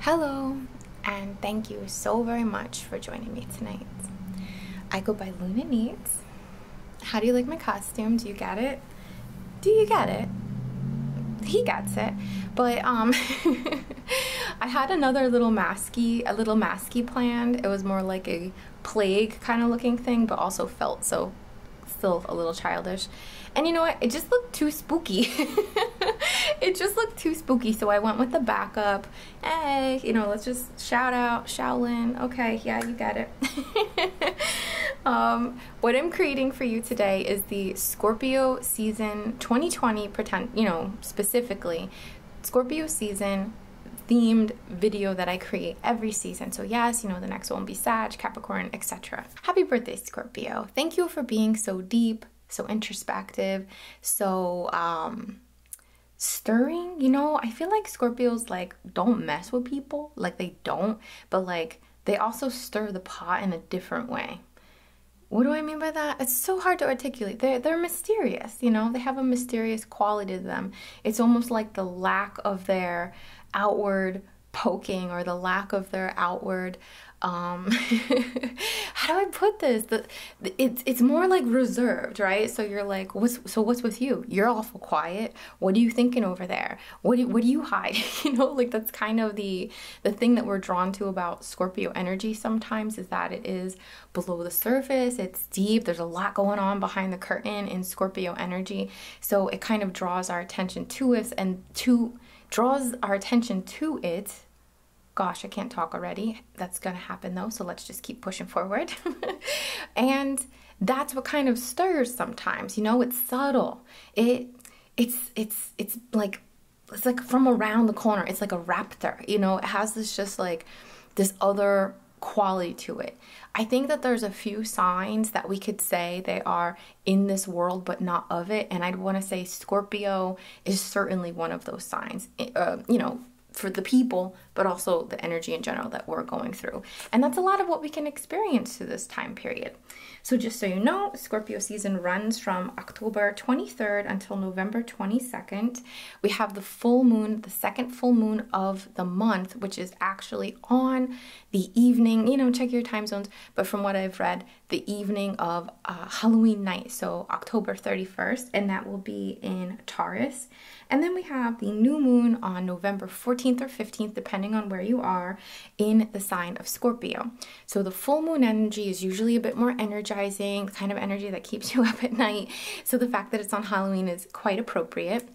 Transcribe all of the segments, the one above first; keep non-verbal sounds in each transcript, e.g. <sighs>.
Hello, and thank you so very much for joining me tonight. I go by Luna Needs. How do you like my costume? Do you get it? Do you get it? He gets it. But um, <laughs> I had another little masky, a little masky planned. It was more like a plague kind of looking thing, but also felt so still a little childish. And you know what? It just looked too spooky. <laughs> it just looked too spooky, so I went with the backup. Hey, you know, let's just shout out Shaolin. Okay, yeah, you got it. <laughs> um, what I'm creating for you today is the Scorpio season 2020 pretend, you know, specifically Scorpio season themed video that I create every season. So yes, you know, the next one will be Sag, Capricorn, etc. Happy birthday, Scorpio. Thank you for being so deep, so introspective, so um stirring, you know? I feel like Scorpios like don't mess with people, like they don't, but like they also stir the pot in a different way. What do I mean by that? It's so hard to articulate. They're, they're mysterious, you know? They have a mysterious quality to them. It's almost like the lack of their outward poking or the lack of their outward um <laughs> how do i put this the, it's it's more like reserved right so you're like what's so what's with you you're awful quiet what are you thinking over there what do, what do you hide <laughs> you know like that's kind of the the thing that we're drawn to about scorpio energy sometimes is that it is below the surface it's deep there's a lot going on behind the curtain in scorpio energy so it kind of draws our attention to us and to draws our attention to it Gosh, I can't talk already. That's going to happen though, so let's just keep pushing forward. <laughs> and that's what kind of stirs sometimes, you know, it's subtle. It it's it's it's like it's like from around the corner. It's like a raptor, you know, it has this just like this other quality to it. I think that there's a few signs that we could say they are in this world but not of it. And I'd want to say Scorpio is certainly one of those signs, eh, uh, you know, for the people, but also the energy in general that we're going through. And that's a lot of what we can experience through this time period. So, just so you know, Scorpio season runs from October 23rd until November 22nd. We have the full moon, the second full moon of the month, which is actually on the evening, you know, check your time zones, but from what I've read, the evening of uh, Halloween night, so October 31st, and that will be in Taurus. And then we have the new moon on November 14th or 15th, depending on where you are, in the sign of Scorpio. So the full moon energy is usually a bit more energizing, kind of energy that keeps <laughs> you up at night. So the fact that it's on Halloween is quite appropriate.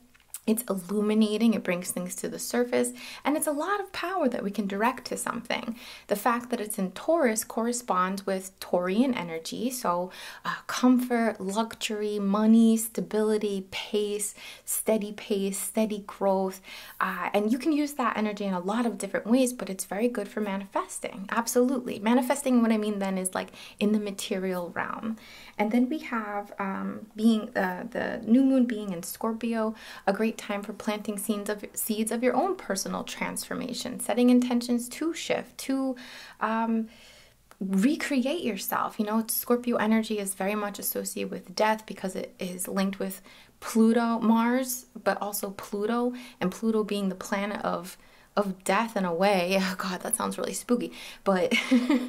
It's illuminating, it brings things to the surface, and it's a lot of power that we can direct to something. The fact that it's in Taurus corresponds with Taurian energy, so uh, comfort, luxury, money, stability, pace, steady pace, steady growth. Uh, and you can use that energy in a lot of different ways, but it's very good for manifesting. Absolutely. Manifesting, what I mean then is like in the material realm. And then we have um, being uh, the new moon being in Scorpio, a great time for planting seeds of seeds of your own personal transformation, setting intentions to shift, to um, recreate yourself. You know, Scorpio energy is very much associated with death because it is linked with Pluto, Mars, but also Pluto, and Pluto being the planet of of death in a way. <laughs> Oh, God, that sounds really spooky, but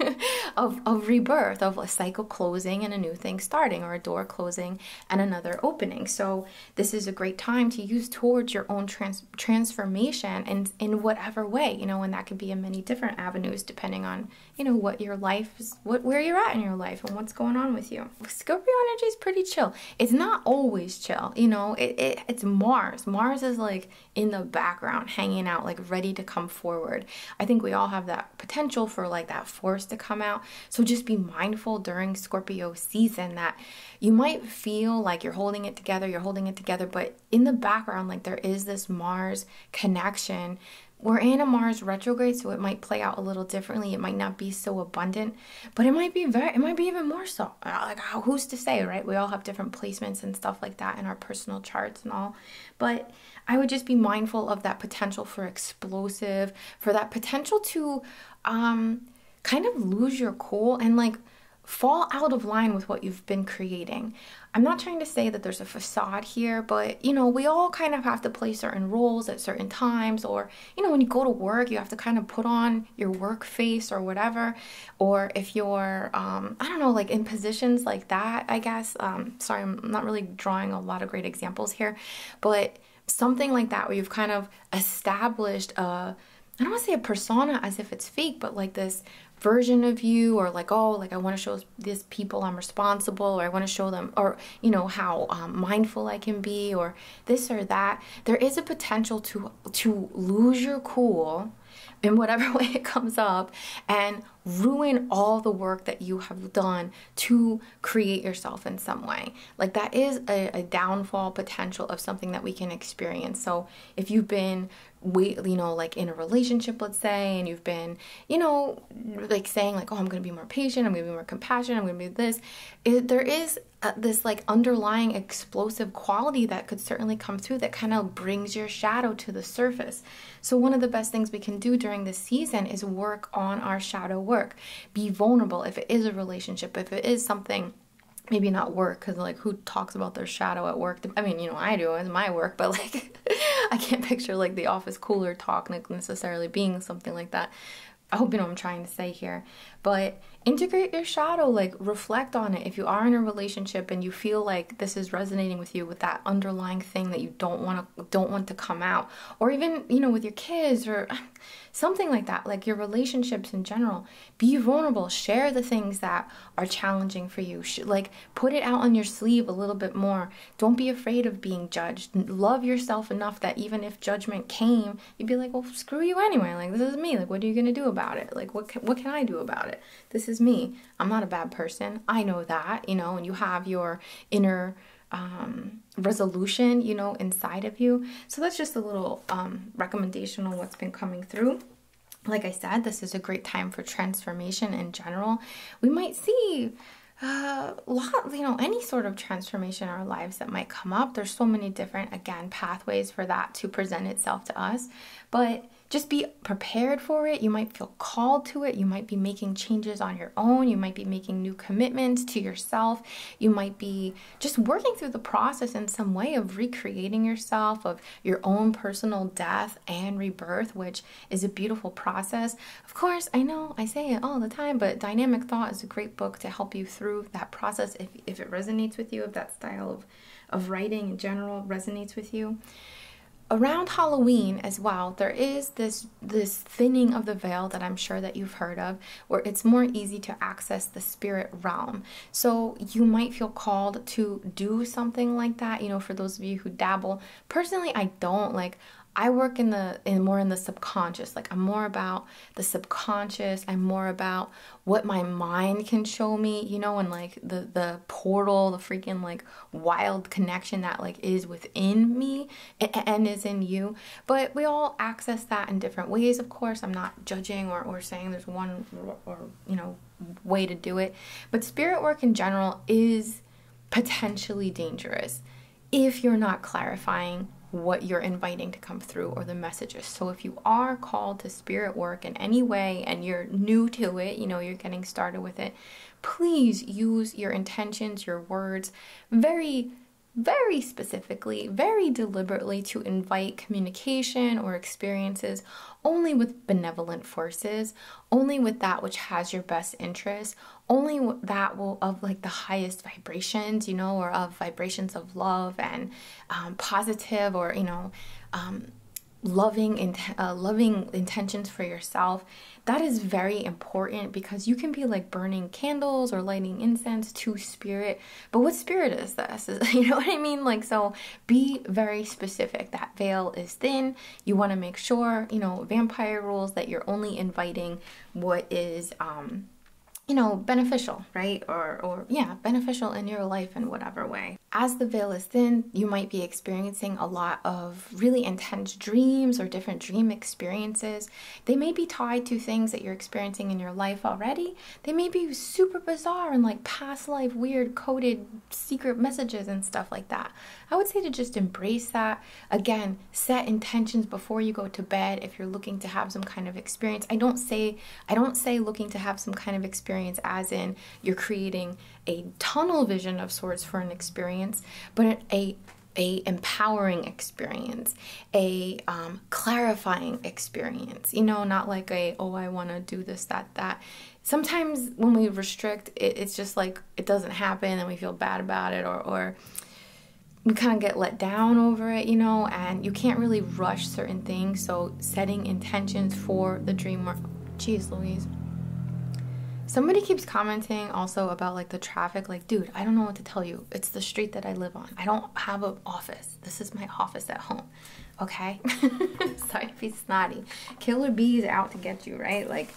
<laughs> of of rebirth, of a cycle closing and a new thing starting, or a door closing and another opening. So this is a great time to use towards your own trans- transformation and in whatever way, you know, and that could be in many different avenues depending on, you know, what your life is, what where you're at in your life and what's going on with you. Scorpio energy is pretty chill. It's not always chill, you know, it, it it's Mars. Mars is like in the background, hanging out, like ready to come forward. I think we all have that potential for like that force to come out. So just be mindful during Scorpio season that you might feel like you're holding it together, you're holding it together, but in the background, like there is this Mars connection. We're in a Mars retrograde, so it might play out a little differently. It might not be so abundant, but it might be very, it might be even more so. Uh, like, uh, who's to say, right? We all have different placements and stuff like that in our personal charts and all. But I would just be mindful of that potential for explosive, for that potential to um, kind of lose your cool and like fall out of line with what you've been creating. I'm not trying to say that there's a facade here, but you know, we all kind of have to play certain roles at certain times, or you know, when you go to work, you have to kind of put on your work face or whatever. Or if you're, um, I don't know, like in positions like that, I guess. Um, sorry, I'm not really drawing a lot of great examples here, but something like that where you've kind of established a I don't want to say a persona as if it's fake, but like this version of you, or like, oh, like I want to show these people I'm responsible, or I want to show them, or you know how um, mindful I can be, or this or that. There is a potential to to lose your cool in whatever <laughs> way it comes up and ruin all the work that you have done to create yourself in some way. Like that is a, downfall potential of something that we can experience. So if you've been wait you know like in a relationship let's say and you've been you know like saying like oh i'm gonna be more patient i'm gonna be more compassionate i'm gonna be this there is uh, this like underlying explosive quality that could certainly come through that kind of brings your shadow to the surface so one of the best things we can do during this season is work on our shadow work be vulnerable if it is a relationship, if it is something maybe not work because like who talks about their shadow at work i mean you know i do it's my work but like <laughs> i can't picture like the office cooler talk necessarily being something like that i hope you know i'm trying to say here but integrate your shadow like reflect on it if you are in a relationship and you feel like this is resonating with you with that underlying thing that you don't want to don't want to come out or even you know with your kids or something like that, like your relationships in general. Be vulnerable, share the things that are challenging for you. Like, put it out on your sleeve a little bit more. Don't be afraid of being judged. Love yourself enough that even if judgment came, you'd be like, well, screw you anyway. Like, this is me. Like, what are you going to do about it? Like, what can, what can I do about it? This is me. I'm not a bad person. I know that, you know, and you have your inner um resolution, you know, inside of you. So that's just a little um, recommendation on what's been coming through. Like I said, this is a great time for transformation in general. We might see uh, lot, you know, any sort of transformation in our lives that might come up. There's so many different, again, pathways for that to present itself to us. But just be prepared for it. You might feel called to it. You might be making changes on your own. You might be making new commitments to yourself. You might be just working through the process in some way of recreating yourself, of your own personal death and rebirth, which is a beautiful process. Of course, I know I say it all the time, but Dynamic Thought is a great book to help you through that process if, if it resonates with you, if that style of, of writing in general resonates with you around Halloween as well, there is this this thinning of the veil that I'm sure that you've heard of, where it's more easy to access the spirit realm. So you might feel called to do something like that, you know, for those of you who dabble. Personally, I don't like I work in the in more in the subconscious. Like I'm more about the subconscious. I'm more about what my mind can show me, you know, and like the the portal, the freaking like wild connection that like is within me and is in you. But we all access that in different ways, of course. I'm not judging or, or saying there's one or, you know, way to do it. But spirit work in general is potentially dangerous if you're not clarifying what you're inviting to come through or the messages. So if you are called to spirit work in any way and you're new to it, you know, you're getting started with it, please use your intentions, your words very very specifically, very deliberately to invite communication or experiences only with benevolent forces, only with that which has your best interest, only that will of like the highest vibrations, you know, or of vibrations of love and um, positive or you know, um, loving and uh, loving intentions for yourself. That is very important because you can be like burning candles or lighting incense to spirit but what spirit is this <laughs> you know what i mean like so be very specific that veil is thin you want to make sure you know vampire rules that you're only inviting what is um you know beneficial right or or yeah beneficial in your life in whatever way as the veil is thin you might be experiencing a lot of really intense dreams or different dream experiences they may be tied to things that you're experiencing in your life already. They may be super bizarre and like past life weird coded secret messages and stuff like that. I would say to just embrace that. Again, set intentions before you go to bed if you're looking to have some kind of experience. I don't say I don't say looking to have some kind of experience as in you're creating a tunnel vision of sorts for an experience, but a a empowering experience a um, clarifying experience, you know, not like a, oh, I want to do this, that, that. Sometimes when we restrict, it's just like it doesn't happen and we feel bad about it or, or we kind of get let down over it, you know, and you can't really rush certain things. So setting intentions for the dream work. Jeez Louise. Somebody keeps commenting also about like the traffic. Like, dude, I don't know what to tell you. It's the street that I live on. I don't have an office. This is my office at home. Okay? <laughs> <laughs> Sorry to be snotty. Killer bees out to get you, right? Like,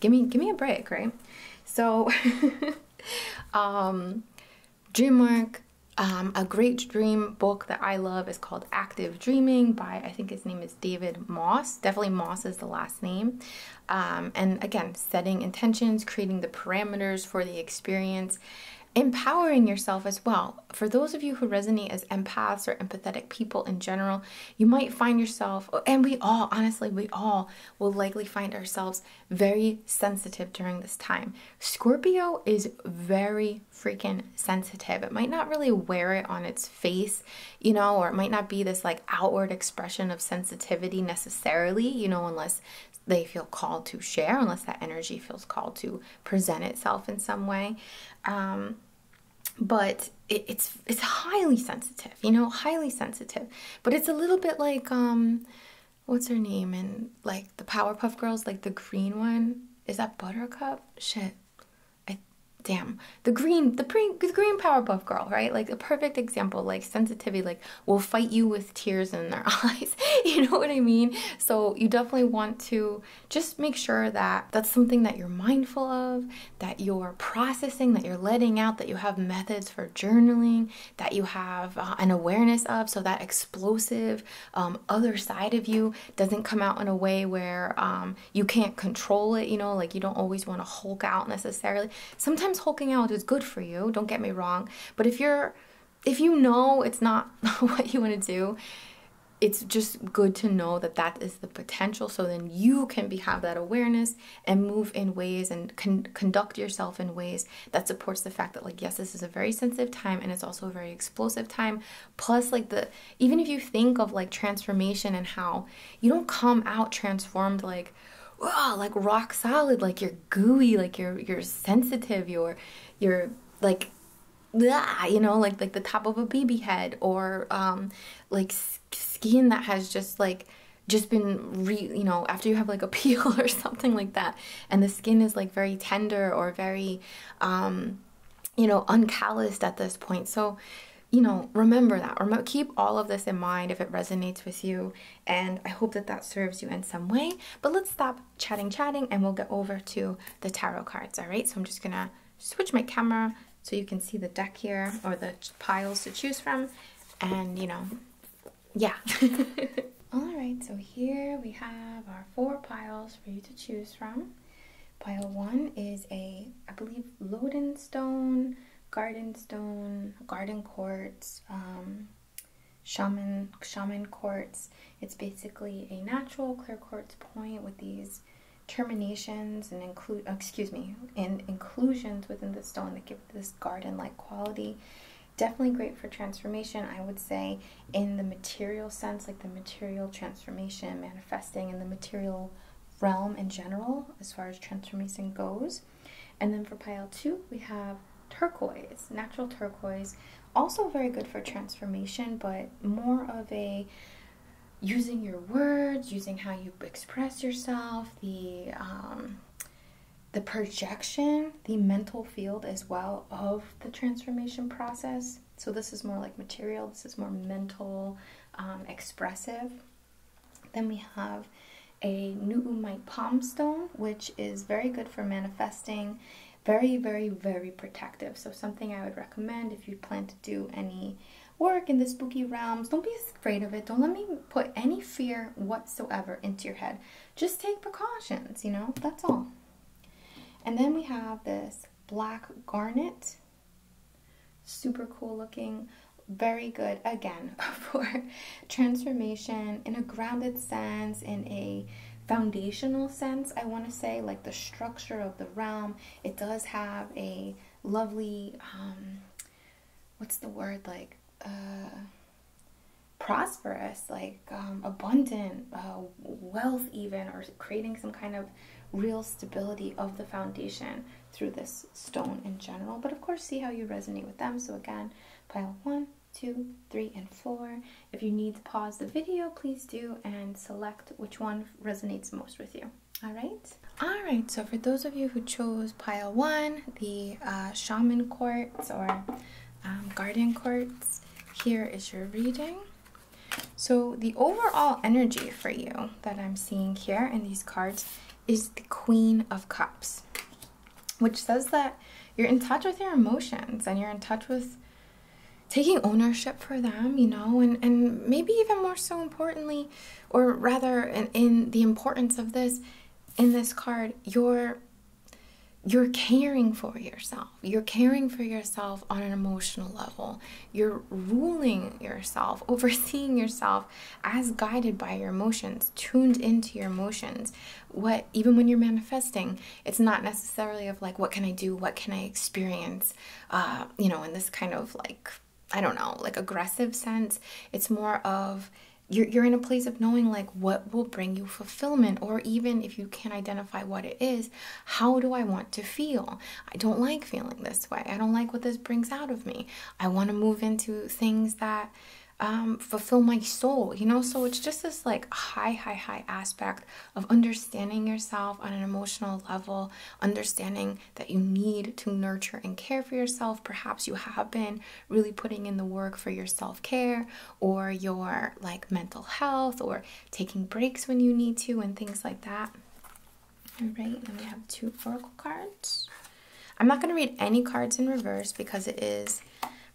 give me give me a break, right? So <laughs> um dream work. Um, a great dream book that I love is called Active Dreaming by, I think his name is David Moss. Definitely Moss is the last name. Um, and again, setting intentions, creating the parameters for the experience, empowering yourself as well. For those of you who resonate as empaths or empathetic people in general, you might find yourself, and we all, honestly, we all will likely find ourselves very sensitive during this time. Scorpio is very freaking sensitive. It might not really wear it on its face, you know, or it might not be this like outward expression of sensitivity necessarily, you know, unless they feel called to share, unless that energy feels called to present itself in some way. Um, but it's it's highly sensitive, you know, highly sensitive. But it's a little bit like um, what's her name and like the Powerpuff Girls, like the green one. Is that Buttercup? Shit, I damn the green the, pre, the green powerpuff girl right like a perfect example like sensitivity like will fight you with tears in their <laughs> eyes <laughs> You know what I mean? So you definitely want to just make sure that that's something that you're mindful of, that you're processing, that you're letting out, that you have methods for journaling, that you have uh, an awareness of so that explosive um, other side of you doesn't come out in a way where um, you can't control it, you know, like you don't always want to hulk out necessarily. Sometimes hulking out is good for you, don't get me wrong, but if you're if you know it's not <laughs> what you want to do, it's just good to know that that is the potential so then you can be have that awareness and move in ways and conduct yourself in ways that supports the fact that like yes this is a very sensitive time and it's also a very explosive time plus like the even if you think of like transformation and how you don't come out transformed like oh, like rock solid like you're gooey like you're you're sensitive you're your like you know like like the top of a baby head or um like skin that has just like just been re you know after you have like a <laughs> peel or something like that and the skin is like very tender or very um you know uncalloused at this point so you know remember that remember keep all of this in mind if it resonates with you and i hope that that serves you in some way but let's stop chatting, chatting, and we'll get over to the tarot cards, all right? So I'm just gonna switch my camera so you can see the deck here or the piles to choose from. And you know, yeah. <laughs> all right, so here we have our four piles for you to choose from. Pile one is a, I believe, Lodenstone, Garden Stone, Garden Quartz, um, shaman shaman quartz. It's basically a natural clear quartz point with these terminations and include excuse me and inclusions within the stone that give this garden like quality definitely great for transformation i would say in the material sense like the material transformation manifesting in the material realm in general as far as transformation goes and then for pile two we have turquoise, natural turquoise. Also, very good for transformation, but more of a using your words, using how you express yourself, the um, the projection, the mental field as well of the transformation process. So this is more like material. This is more mental, um, expressive. Then we have a New Nu'umite palm stone, which is very good for manifesting very, very, very protective. So, something I would recommend if you plan to do any work in the spooky realms, don't be afraid of it. Don't let me put any fear whatsoever into your head. Just take precautions, you know, that's all. And then we have this black garnet, super cool looking. Very good again <laughs> for transformation in a grounded sense, in a foundational sense, I want to say, like the structure of the realm. It does have a lovely, um, what's the word, like uh, prosperous, like um, abundant uh, wealth, even, or creating some kind of real stability of the foundation through this stone in general. But of course, see how you resonate with them. So, again, pile one, two, three, and four. If you need to pause the video, please do and select which one resonates most with you. All right. All right. So for those of you who chose pile one, the uh, shaman quartz or um, garden quartz, here is your reading. So the overall energy for you that I'm seeing here in these cards is the Queen of Cups which says that you're in touch with your emotions and you're in touch with taking ownership for them, you know, and, and maybe even more so importantly, or rather in, the importance of this, in this card, you're you're caring for yourself. You're caring for yourself on an emotional level. You're ruling yourself, <laughs> overseeing yourself as guided by your emotions, tuned into your emotions what even when you're manifesting it's not necessarily of like what can i do what can i experience uh, you know in this kind of like i don't know like aggressive sense it's more of you're, you're in a place of knowing like what will bring you fulfillment or even if you can't identify what it is how do i want to feel i don't like feeling this way i don't like what this brings out of me i want to move into things that um, fulfill my soul, you know? So it's just this like high, high, high aspect of understanding yourself on an emotional level, understanding that you need to nurture and care for yourself. Perhaps you have been really putting in the work for your self care or your like mental health or taking breaks when you need to and things like that. All right, then we have two oracle cards. I'm not going to read any cards in reverse because it is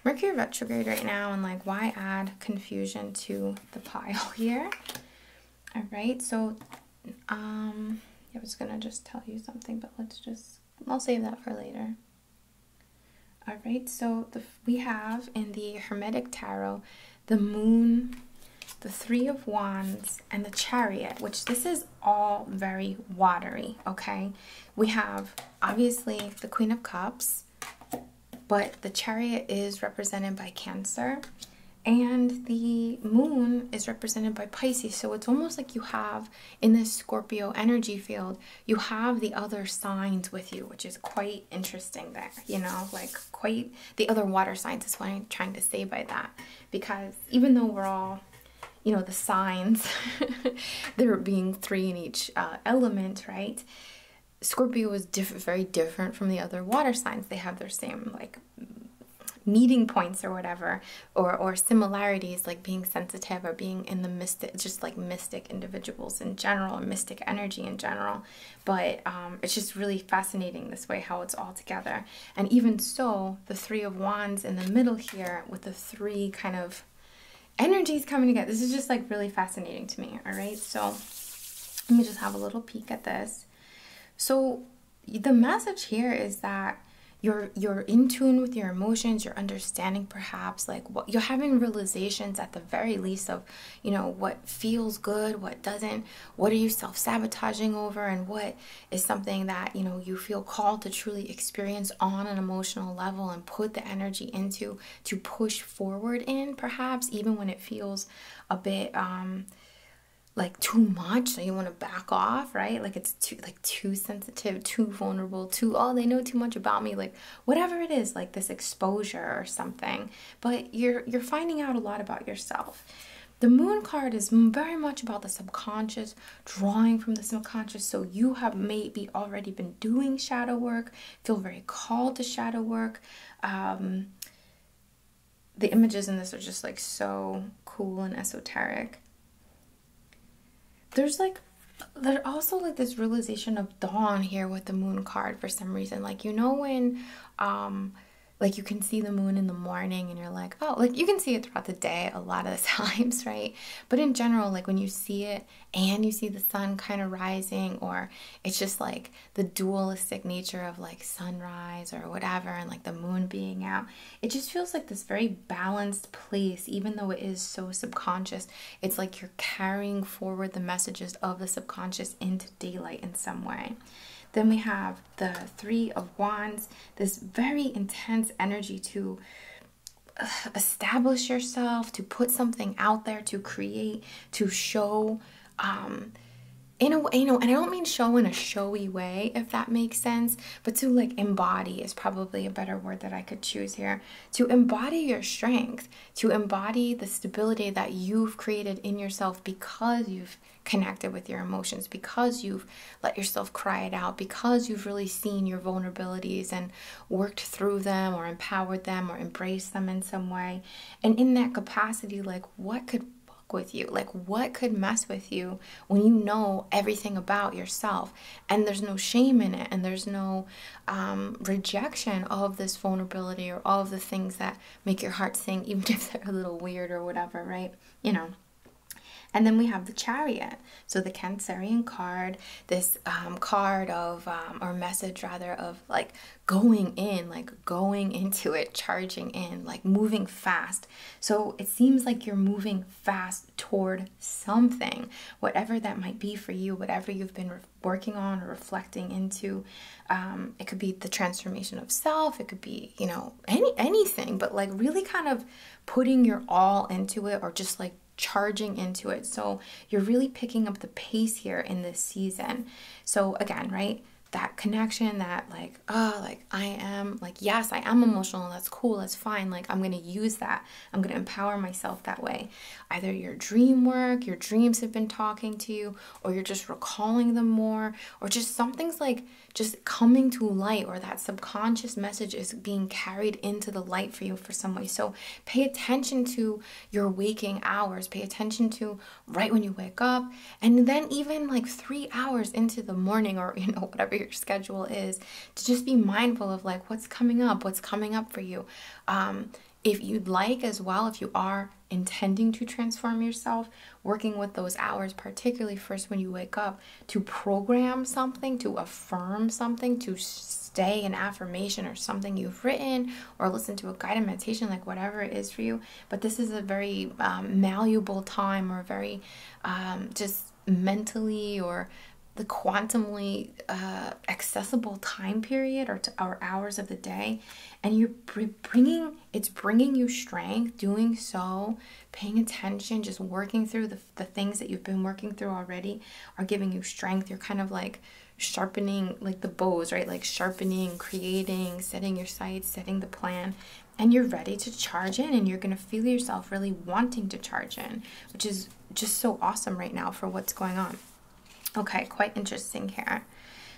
Mercury retrograde right now, and like, why add confusion to the pile <laughs> here? All right, so um, I was gonna just tell you something, but let's just I'll save that for later. All right, so the, we have in the Hermetic Tarot the Moon, the Three of Wands, and the Chariot, which this is all very watery, okay? We have obviously the Queen of Cups, but the chariot is represented by Cancer and the moon is represented by Pisces. So it's almost like you have in this Scorpio energy field, you have the other signs with you, which is quite interesting there, you know, like quite the other water signs is what I'm trying to say by that. Because even though we're all, you know, the signs, <laughs> there being three in each uh, element, right? Scorpio is diff very different from the other water signs. They have their same like meeting points or whatever, or or similarities like being sensitive or being in the mystic, just like mystic individuals in general, mystic energy in general. But um, it's just really fascinating this way how it's all together. And even so, the Three of Wands in the middle here with the three kind of energies coming together. This is just like really fascinating to me. All right. So let me just have a little peek at this. So the message here is that you're you're in tune with your emotions you're understanding perhaps like what you're having realizations at the very least of you know what feels good what doesn't what are you self-sabotaging over and what is something that you know you feel called to truly experience on an emotional level and put the energy into to push forward in, perhaps, even when it feels a bit um like too much so you want to back off right like it's too like too sensitive too vulnerable too oh they know too much about me like whatever it is like this exposure or something but you're you're finding out a lot about yourself the moon card is very much about the subconscious drawing from the subconscious so you have maybe already been doing shadow work feel very called to shadow work. Um, the images in this are just like so cool and esoteric. There's like there's also like this realization of dawn here with the moon card for some reason. Like you know when um like you can see the moon in the morning and you're like, oh, like you can see it throughout the day a lot of the <laughs> times, right? But in general, like when you see it and you see the sun kind of rising, or it's just like the dualistic nature of like sunrise or whatever, and like the moon being out. It just feels like this very balanced place, even though it is so subconscious. It's like you're carrying forward the messages of the subconscious into daylight in some way. Then we have the Three of Wands, this very intense energy to establish yourself, to put something out there, to create, to show. Um, in a way, you know, and I don't mean show in a showy way, if that makes sense, but to like embody is probably a better word that I could choose here. To embody your strength, to embody the stability that you've created in yourself because you've connected with your emotions, because you've let yourself cry it out, because you've really seen your vulnerabilities and worked through them or empowered them or embraced them in some way. And in that capacity, like what could fuck with you? Like what could mess with you when you know everything about yourself and there's no shame in it and there's no um, rejection of this vulnerability or all of the things that make your heart sing, <laughs> even if they're a little weird or whatever, right? You know. And then we have the chariot. So the Cancerian card, this um, card of um, or message rather of like going in like going into it charging in like moving fast so it seems like you're moving fast toward something whatever that might be for you whatever you've been working on or reflecting into um, it could be the transformation of self it could be you know any anything but like really kind of putting your all into it or just like charging into it. So you're really picking up the pace here in this season. So again, right? That connection, that like, oh, like I am, like, yes, I am emotional. That's cool. That's fine. Like, I'm going to use that. I'm going to empower myself that way. Either your dream work, your dreams have been talking to you, or you're just recalling them more, or just something's like just coming to light, or that subconscious message is being carried into the light for you for some way. So pay attention to your waking hours. Pay attention to right when you wake up. And then even like three hours into the morning or, <laughs> you know, whatever your schedule is, to just be mindful of like what's coming up, what's coming up for you. Um, if you'd like as well, if you are intending to transform yourself, working with those hours, particularly first when you wake up, to program something, to affirm something, to stay an affirmation or something you written or listen to a guided meditation, like whatever it is for you. But this is a very um, malleable time or very um, just mentally or the quantumly uh, accessible time period or, to, hours of the day and you're bringing it's bringing you strength doing so paying attention just working through the, the things that you've been working through already are giving you strength you're kind of like sharpening like the bows, right? Like sharpening, creating, setting your sights, setting the plan, and you're ready to charge in and you're going to feel yourself really wanting to charge in, which is just so awesome right now for what's going on. Okay, quite interesting here.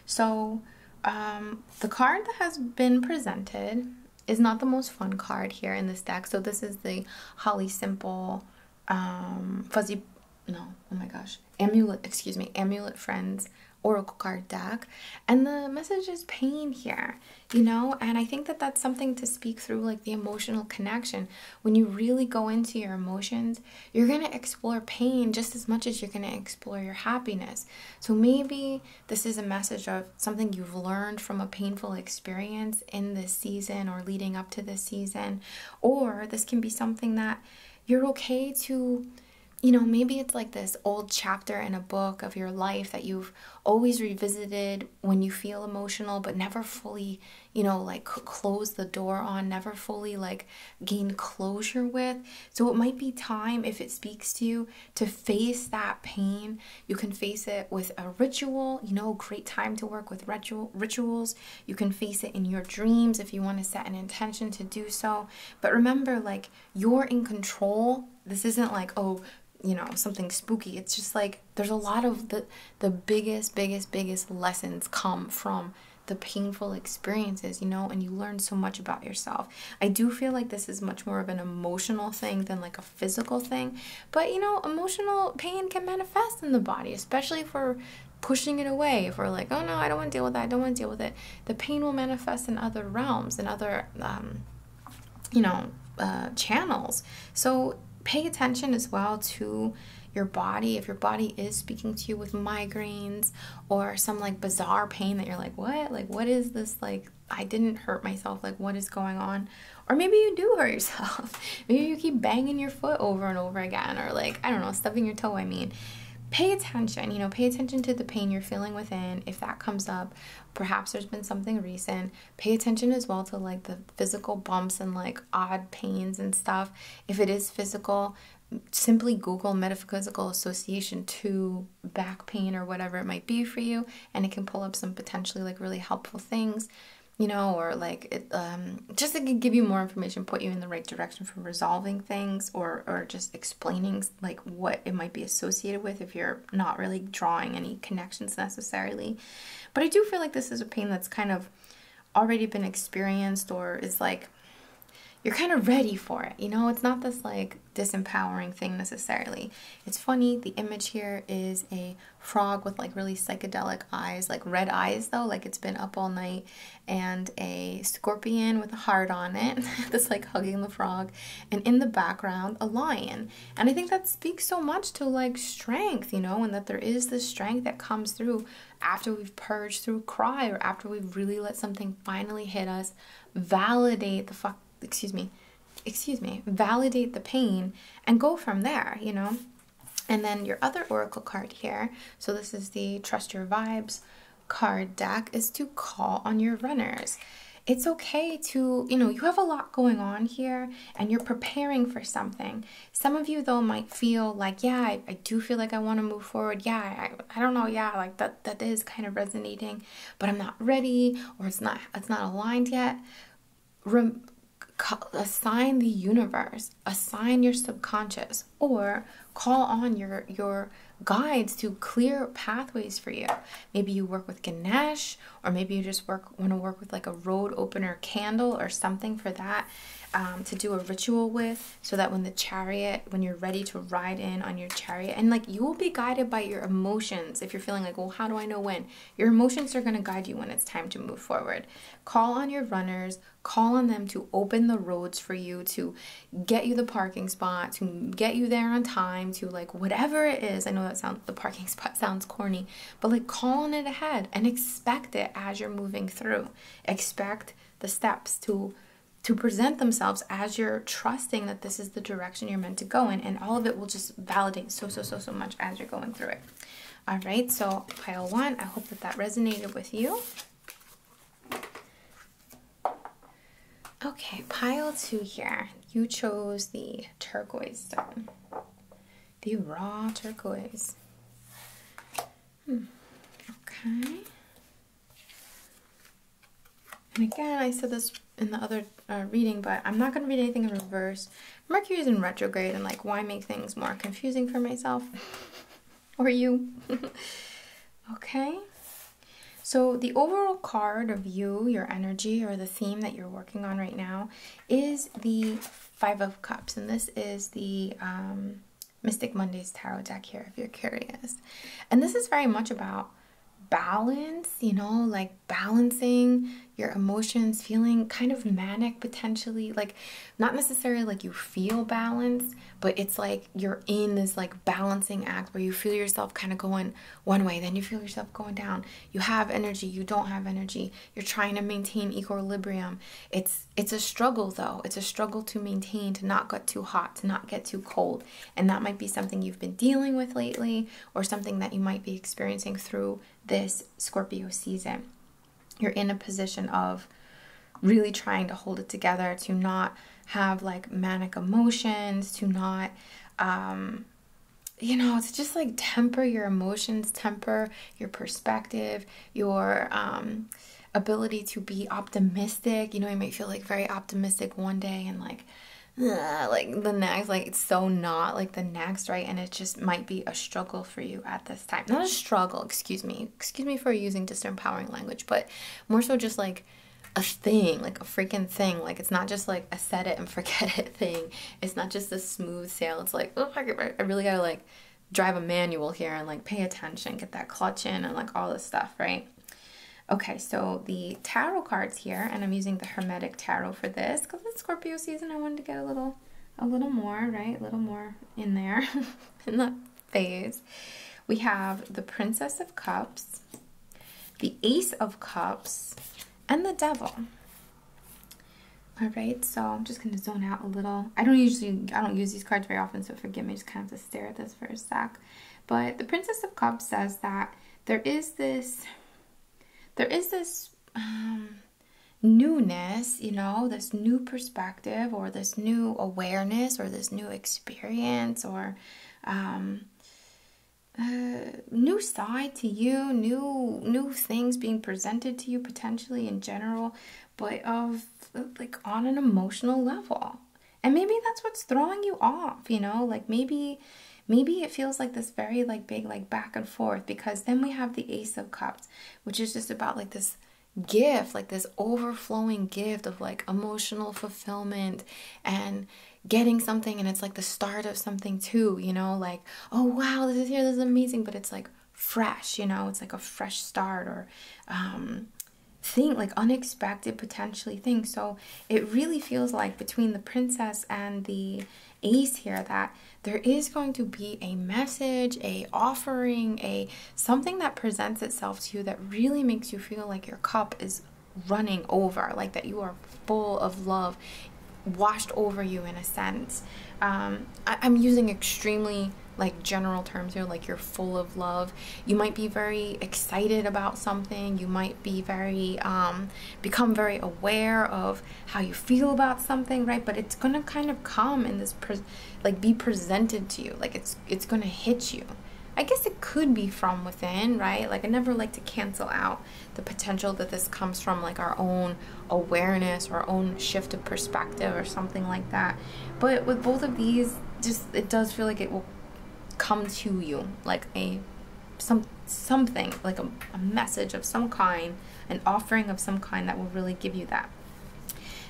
So, um, the card that has been presented is not the most fun card here in the stack. So, this is the Holly Simple um, Fuzzy. No, oh my gosh amulet, excuse me, amulet friends oracle card deck and the message is pain here you know and i think that that's something to speak through like the emotional connection when you really go into your emotions you're going to explore pain just as much as you're going to explore your happiness so maybe this is a message of something you've learned from a painful experience in this season or leading up to this season or this can be something that you're okay to you know maybe it's like this old chapter in a book of your life that you've always revisited when you feel emotional but never fully you know like close the door on never fully like gain closure with so it might be time if it speaks to you to face that pain you can face it with a ritual you know great time to work with ritual rituals you can face it in your dreams if you want to set an intention to do so. But remember, like, you're in control. This isn't like, oh, you know, something spooky. It's just like there's a lot of the the biggest, biggest, biggest lessons come from the painful experiences, you know, and you learn so much about yourself. I do feel like this is much more of an emotional thing than like a physical thing, but you know, emotional pain can manifest in the body, especially if we're pushing it away, if we're like, oh no, I don't want to deal with that, I don't want to deal with it, the pain will manifest in other realms, in other, um, you know, uh, channels. So pay attention as well to your body. If your body is speaking to you with migraines or some like bizarre pain that you're like, what? Like, what is this? Like, I didn't hurt myself. Like, what is going on? Or maybe you do hurt yourself. Maybe you keep banging your foot over and over again, or like, I don't know, stubbing your toe, I mean. Pay attention, you know, pay attention to the pain you're feeling within. If that comes up, perhaps there's been something recent. Pay attention as well to like the physical bumps and like odd pains and stuff. If it is physical, simply Google metaphysical association to back pain or whatever it might be for you, and it can pull up some potentially like really helpful things, you know, or like it, um, just to give you more information, put you in the right direction for resolving things or, or just explaining like what it might be associated with if you're not really drawing any connections necessarily. But I do feel like this is a pain that's kind of already been experienced or is like you're kind of ready for it. You know, it's not this like disempowering thing necessarily. It's funny, the image here is a frog with like really psychedelic eyes, like red eyes though, like it's been up all night and a scorpion with a heart on it <laughs> that's like hugging the frog, and in the background, a lion. And I think that speaks so much to like strength, you know, and that there is this strength that comes through after we've purged through cry or after we've really let something finally hit us, validate the fuck, excuse me, excuse me, validate the pain and go from there, you know? And then your other oracle card here, so this is the Trust Your Vibes card deck, is to call on your runners. It's okay to, you know, you have a lot going on here and you're preparing for something. Some of you, though, might feel like, yeah, I, do feel like I want to move forward. Yeah, I, I don't know. Yeah, like that, that is kind of resonating, but I'm not ready or it's not, it's not aligned yet. assign the universe assign your subconscious or call on your your guides to clear pathways for you maybe you work with ganesh or maybe you just work want to work with like a road opener candle or something for that um, to do a ritual with so that when the chariot when you're ready to ride in on your chariot and like you will be guided by your emotions if you're feeling like well how do i know when your emotions are going to guide you when it's time to move forward call on your runners Calling them to open the roads for you, to get you the parking spot, to get you there on time, to like whatever it is. I know that sounds the parking <laughs> spot sounds corny, but like call on it ahead and expect it as you're moving through. Expect the steps to to present themselves as you're trusting that this is the direction you're meant to go in and all of it will just validate so so so so much as you're going through it all right so pile one i hope that that resonated with you Okay, pile two here. You chose the turquoise stone, the raw turquoise. Hmm, okay. And again, I said this in the other uh, reading, but I'm not going to read anything in reverse. Mercury is in retrograde, and like, why make things more confusing for myself? or you. <laughs> okay. So, the overall card of you, your energy, or the theme that you're working on right now is the Five of Cups. And this is the um, Mystic Mondays Tarot deck here, if you're curious. And this is very much about balance, you know, like balancing your emotions, feeling kind of manic potentially. Like not necessarily like you feel balanced, but it's like you're in this like balancing act where you feel yourself kind of going one way, then you feel yourself going down. You have energy, you don't have energy. You're trying to maintain equilibrium. It's it's a struggle though. It's a struggle to maintain to not get too hot, to not get too cold. And that might be something you've been dealing with lately or something that you might be experiencing through this Scorpio season you're in a position of really trying to hold it together, to not have like manic emotions, to not, um, you know, it's just like temper your emotions, temper your perspective, your um, ability to be optimistic. You know, you might feel like very optimistic one day and like, like the next, like it's so not like the next, right? And it just might be a struggle for you at this time. Not a struggle, excuse me. Excuse me for using disempowering language, but more so just like a thing, like a freaking thing. Like it's not just like a set it and <laughs> forget it thing. It's not just a smooth sail. It's like, oh, I really gotta like drive a manual here and like pay attention, get that clutch in and like all this stuff, right? Okay, so the tarot cards here, and I'm using the Hermetic Tarot for this because it's Scorpio season. I wanted to get a little, a little more, right? A little more in there, And <laughs> the phase. We have the Princess of Cups, the Ace of Cups, and the Devil. All right, so I'm just going to zone out a little. I don't usually, I don't use these cards very often, so forgive me, just kind of to stare at this for a sec. But the Princess of Cups says that there is this, there is this um, newness, you know, this new perspective or this new awareness or this new experience or um, uh, new side to you, new new things being presented to you potentially in general, but of like on an emotional level. And maybe that's what's throwing you off, you know, like maybe maybe it feels like this very like big like back and forth because then we have the ace of cups, which is just about like this gift, like this overflowing gift of like emotional fulfillment and getting something. And it's like the start of something too, you know, like, oh wow, this is here, this is amazing. But it's like fresh, you know, it's like a fresh start or, um, thing, like unexpected potentially thing. So it really feels like between the princess and the ace here that there is going to be a message, a offering, a something that presents itself to you that really makes you feel like your cup is running over, like that you are full of love washed over you in a sense. Um, I, am using extremely like general terms here, like you're full of love. You might be very excited about something. You might be very, um, become very aware of how you feel about something, right? But it's going to kind of come in this like be presented to you like it's it's going to hit you i guess it could be from within right like i never like to cancel out the potential that this comes from like our own awareness our own shift of perspective or something like that but with both of these just it does feel like it will come to you like a some something like a, message of some kind an offering of some kind that will really give you that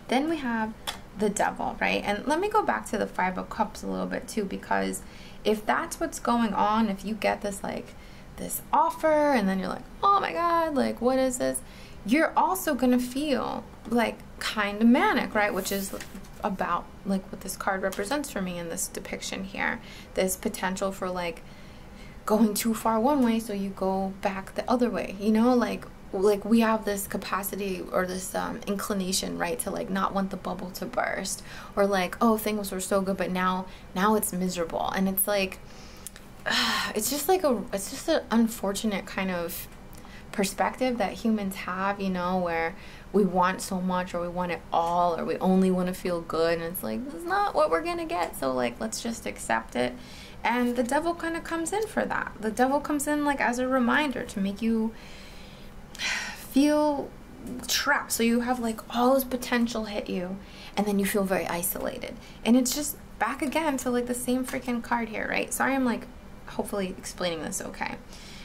then we have the devil, right? And let me go back to the Five of Cups a little bit too, because if that's what's going on, if you get this like this offer and then you're like, oh my God, like what is this? You're also gonna feel like kind of manic, right? Which is about like what this card represents for me in this depiction here. This potential for like going too far one way so you go back the other way, you know, like like we have this capacity or this um, inclination right to like not want the bubble to burst or like oh things were so good but now now it's miserable and it's like <sighs> it's just like a it's just an unfortunate kind of perspective that humans have you know where we want so much or we want it all or we only want to feel good and it's like it's not what we're gonna get so like let's just accept it and the devil kind of comes in for that. The devil comes in like as a reminder to make you <sighs> feel trapped. So you have like all this potential hit you and then you feel very isolated. And it's just back again to like the same freaking card here, right? Sorry, I'm like hopefully explaining this okay.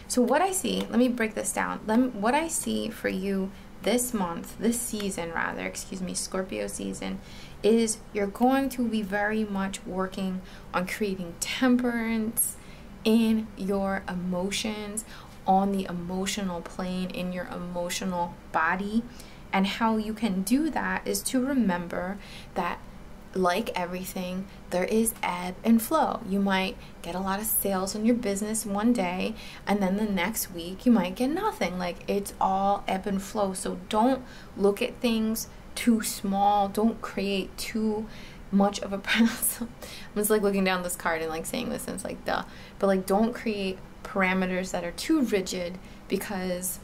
So what I see, let me break this down. Let what I see for you this month, this season rather, excuse me, Scorpio season, is you're going to be very much working on creating temperance in your emotions, on the emotional plane, in your emotional body. And how you can do that is to remember that like everything, there is ebb and flow. You might get a lot of sales in your business one day, and then the next week you might get nothing. Like it's all ebb and flow. So don't look at things too small. Don't create too much of a <laughs> I'm just like looking down this card and like saying this and it's like duh. But like don't create parameters that are too rigid because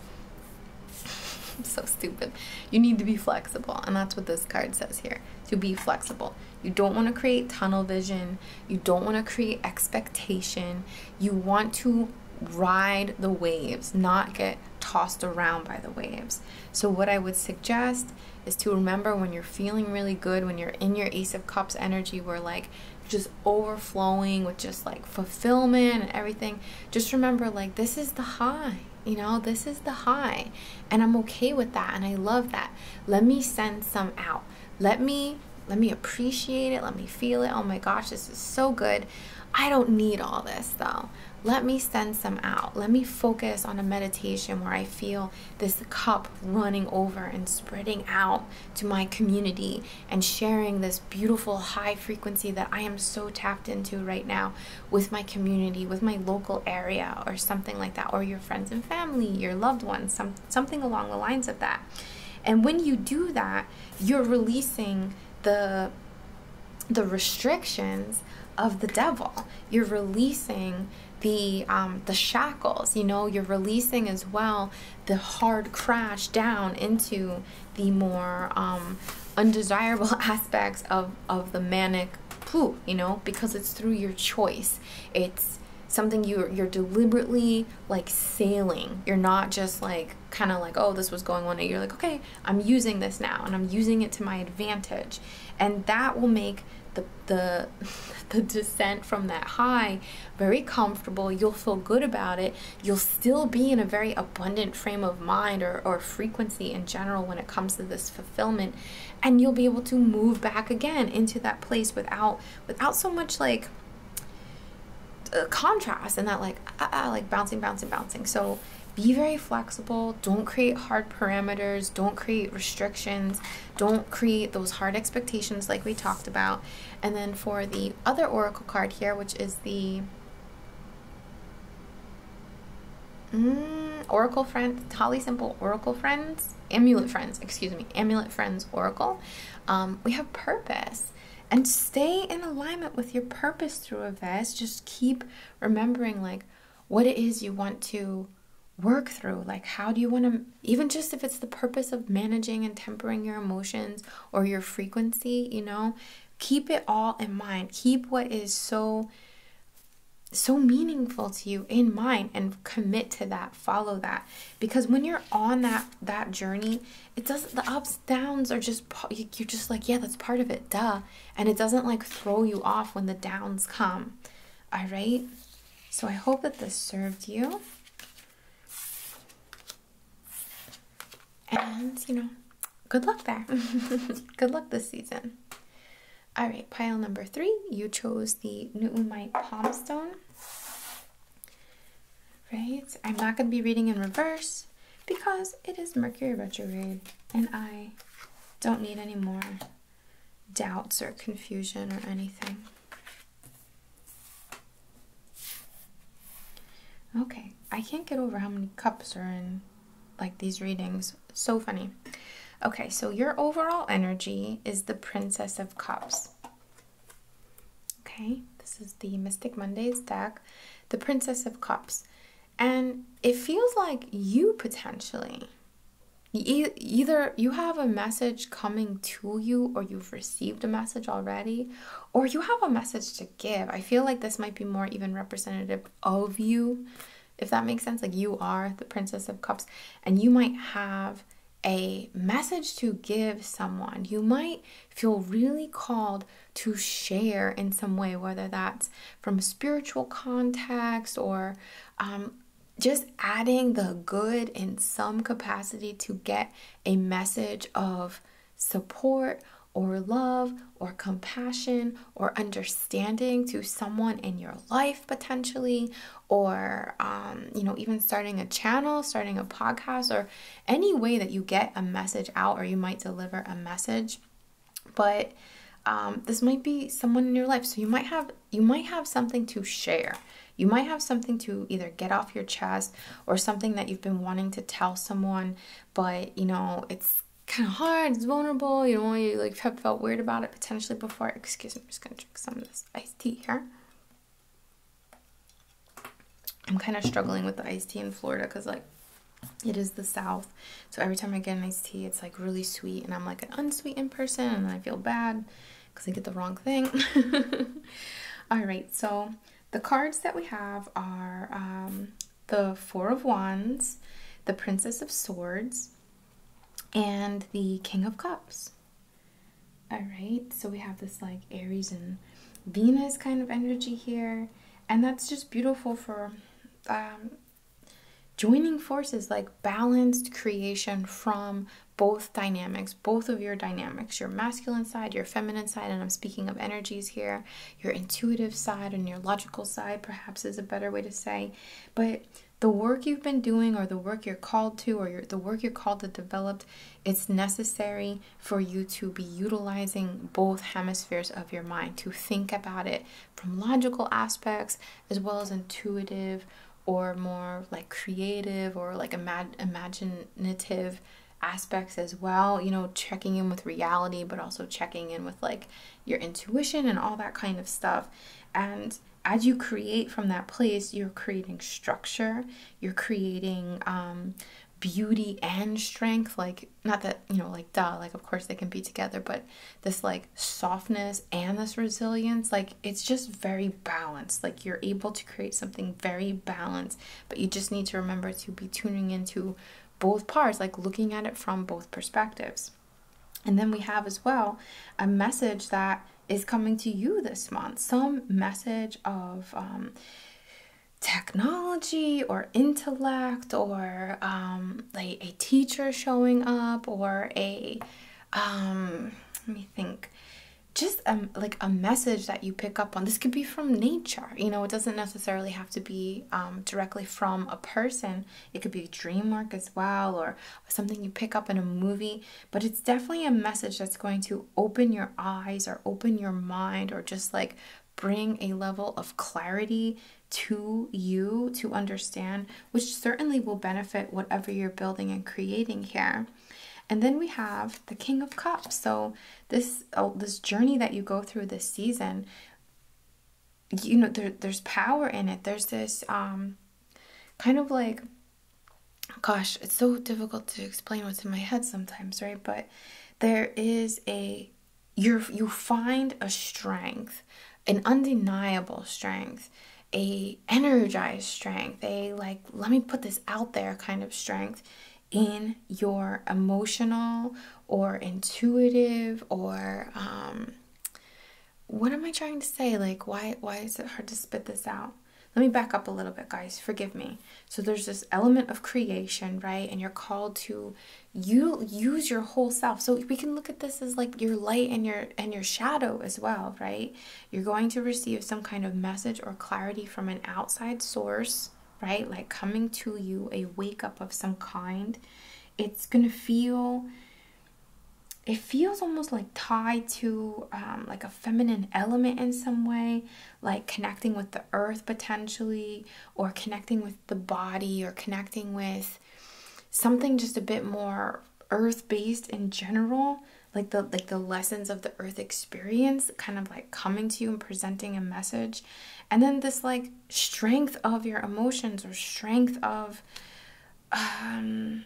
I'm <laughs> so stupid. You need to be flexible and that's what this card says here. To be flexible. You don't want to create tunnel vision. You don't want to create expectation. You want to ride the waves, not get tossed around by the waves. So, what I would suggest is to remember when you're feeling really good, when you're in your Ace of Cups energy, where like just overflowing with just like fulfillment and everything, just remember like this is the high. You know, this is the high, and I'm okay with that, and I love that. Let me send some out. Let me let me appreciate it. Let me feel it. Oh my gosh, this is so good. I don't need all this though let me send some out. Let me focus on a meditation where I feel this cup running over and spreading out to my community and sharing this beautiful high frequency that I am so tapped into right now with my community, with my local area, or something like that, or your friends and family, your loved ones, some, something along the lines of that. And when you do that, you're releasing the the restrictions of the devil. You're releasing the um, the shackles. You know, you're releasing as well the hard crash down into the more um, undesirable <laughs> aspects of of the manic poo. You know, because it's through your choice. It's something you're you're deliberately like sailing. You're not just like kind of like oh this was going on. day you're like okay i'm using this now and i'm using it to my advantage and that will make the the <laughs> the descent from that high very comfortable you'll feel good about it you'll still be in a very abundant frame of mind or, or frequency in general when it comes to this fulfillment and you'll be able to move back again into that place without without so much like uh, contrast and that like uh, like bouncing bouncing bouncing so be very flexible. Don't create hard parameters. Don't create restrictions. Don't create those hard expectations like we talked about. And then for the other oracle card here, which is the mm, Oracle Friends, Holly Simple Oracle Friends, Amulet Friends, excuse me, Amulet Friends Oracle. Um, we have purpose and stay in alignment with your purpose through a vest. Just keep remembering like what it is you want to work through. Like, how do you want to, even just if it's the purpose of managing and tempering your emotions or your frequency, you know, keep it all in mind. Keep what is so, so meaningful to you in mind and commit to that, follow that. Because when you're on that, that journey, it doesn't, the ups downs are just, you're just like, yeah, that's part of it, duh. And it doesn't like throw you off when the downs come. All right. So I hope that this served you. And, you know, good luck there. <laughs> good luck this season. All right, pile number three. You chose the Newtonmite Palm Stone. Right? I'm not going to be reading in reverse because it is Mercury retrograde and I don't need any more doubts or confusion or anything. Okay, I can't get over how many cups are in like these readings. So funny. Okay, so your overall energy is the Princess of Cups. Okay, this is the Mystic Mondays deck. The Princess of Cups. And it feels like you potentially. either you have a message coming to you, or you've received a message already, or you have a message to give. I feel like this might be more even representative of you, if that makes sense. Like you are the Princess of Cups, and you might have a message to give someone. You might feel really called to share in some way, whether that's from spiritual context or um, just adding the good in some capacity to get a message of support or love or compassion or understanding to someone in your life potentially or um, you know even starting a channel starting a podcast or any way that you get a message out or you might deliver a message but um, this might be someone in your life so you might have you might have something to share you might have something to either get off your chest or something that you've been wanting to tell someone but you know it's kind of hard it's vulnerable you know you like have felt weird about it potentially before excuse me i'm just gonna drink some of this iced tea here i'm kind of struggling with the iced tea in florida because like it is the South. So every time I get an iced tea, it's like really sweet. And I'm like an unsweetened person. And I feel bad because I get the wrong thing. <laughs> All right. So the cards that we have are um, the Four of Wands, the Princess of Swords, and the King of Cups. All right, so we have this like Aries and Venus kind of energy here, and that's just beautiful for um, joining forces like balanced creation from both dynamics, both of your dynamics, your masculine side, your feminine side, and I'm speaking of energies here, your intuitive side and your logical side, perhaps is a better way to say. But the work you've been doing, or the work you're called to, or the work you're called to develop, it's necessary for you to be utilizing both hemispheres of your mind, to think about it, from logical aspects as well as intuitive or more like creative or like imag imaginative aspects as well you know checking in with reality but also checking in with like your intuition and all that kind of stuff and as you create from that place you're creating structure you're creating um, beauty and strength like not that you know like da, like of course they can be together but this like softness and this resilience like it's just very balanced like you're able to create something very balanced but you just need to remember to be tuning into both parts like looking at it from both perspectives and then we have as well a message that is coming to you this month some message of um, technology or intellect or um, like a teacher showing up or a um let me think just um, like a message that you pick up on this could be from nature you know it doesn't necessarily have to be um, directly from a person it could be dream work as well or something you pick up in a movie but it's definitely a message that's going to open your eyes or open your mind or just like bring a level of clarity to you to understand, which certainly will benefit whatever you're building and creating here. And then we have the King of Cups. So this oh, this journey that you go through this season, you know, there, there's power in it. There's this um, kind of like, gosh, it's so difficult to explain what's in my head sometimes, right? But there is a you you find a strength, an undeniable strength, a energized strength, a like let me put this out there kind of strength in your emotional or intuitive or um what am I trying to say? Like why why is it hard to spit this out? Let me back up a little bit, guys. Forgive me. So there's this element of creation, right? And you're called to you use your whole self so we can look at this as like your light and your and your shadow as well right you're going to receive some kind of message or clarity from an outside source right like coming to you a wake up of some kind it's going to feel it feels almost like tied to um, like a feminine element in some way like connecting with the earth potentially or connecting with the body or connecting with something just a bit more earth based in general like the like the lessons of the earth experience kind of like coming to you and presenting a message and then this like strength of your emotions or strength of um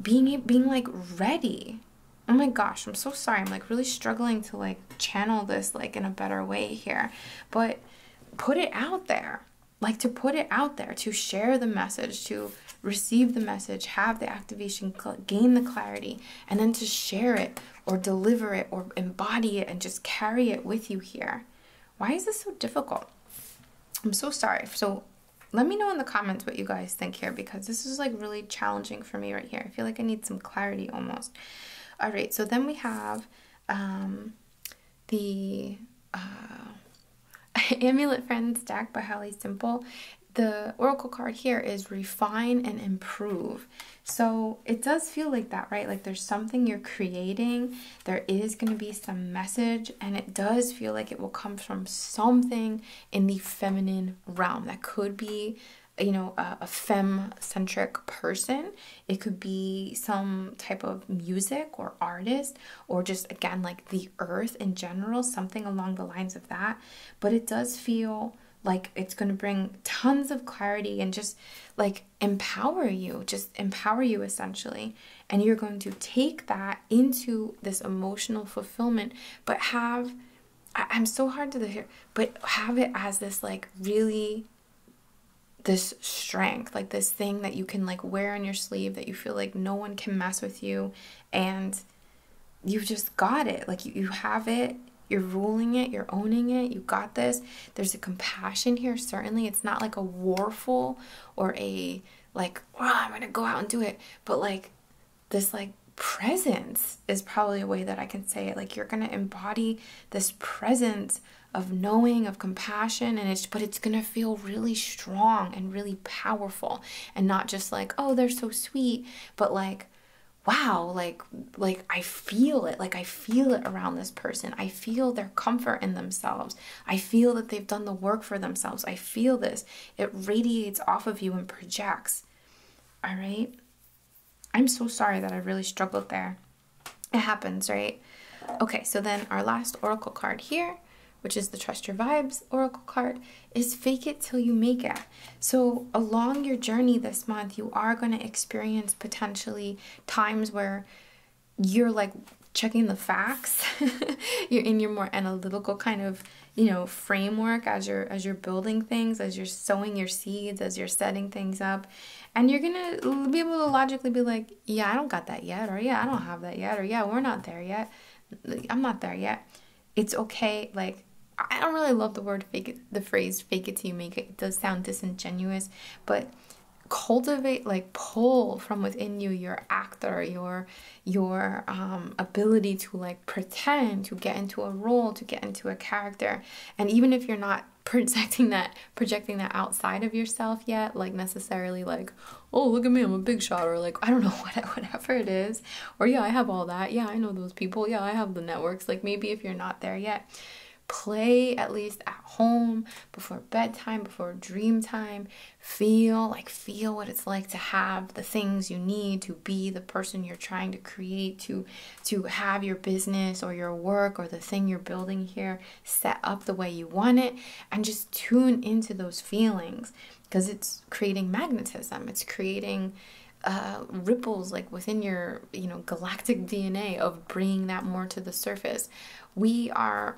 being being like ready oh my gosh i'm so sorry i'm like really struggling to like channel this like in a better way here but put it out there like to put it out there to share the message to receive the message have the activation gain the clarity and then to share it or deliver it or embody it and just carry it with you here why is this so difficult i'm so sorry so let me know in the comments what you guys think here because this is like really challenging for me right here i feel like i need some clarity almost all right so then we have um the uh, <laughs> Amulet Friends deck by Holly Simple, the oracle card here is refine and improve. So it does feel like that, right? Like there's something you're creating, there is going to be some message, and it does feel like it will come from something in the feminine realm that could be, you know, a, a fem centric person. It could be some type of music or artist, or just again, like the earth in general, something along the lines of that. But it does feel like it's going to bring tons of clarity and just like empower you, just empower you essentially. And you're going to take that into this emotional fulfillment, but have. I'm so hard to the but have it as this like really this strength, like this thing that you can like wear on your sleeve that you feel like no one can mess with you and you just got it. Like you, you have it, you're ruling it, you're owning it, you got this. There's a compassion here, certainly. It's not like a warful or a like, oh, I'm gonna go out and do it, but like this like presence is probably a way that I can say it. Like you're gonna embody this presence of knowing of compassion and it's but it's going to feel really strong and really powerful and not just like oh they're so sweet but like wow like like i feel it like i feel it around this person i feel their comfort in themselves i feel that they've done the work for themselves i feel this it radiates off of you and projects all right i'm so sorry that i really struggled there it happens, right? Okay, so then our last oracle card here, which is the Trust Your Vibes oracle card, is Fake It Till You Make It. So along your journey this month, you are going to experience potentially times where you're like checking the facts <laughs> you're in your more analytical kind of you know framework as you're as you're building things as you're sowing your seeds as you're setting things up and you're gonna be able to logically be like yeah, I don't got that yet, or yeah, I don't have that yet, or yeah, we're not there yet. I'm not there yet. It's okay. Like, I don't really love the word fake, the phrase fake it till you make it. It does sound disingenuous, but cultivate like pull from within you your actor your your um, ability to like pretend to get into a role to get into a character and even if you're not projecting that projecting that outside of yourself yet like necessarily like oh look at me i'm a big shot or like i don't know <laughs> what, whatever it is or yeah i have all that yeah i know those people yeah i have the networks like maybe if you're not there yet play at least at home before bedtime before dream time feel like feel what it's like to have the things you need to be the person you're trying to create to to have your business or your work or the thing you're building here set up the way you want it, and just tune into those feelings because it's creating magnetism. It's creating uh, ripples like within your you know galactic DNA of bringing that more to the surface. We are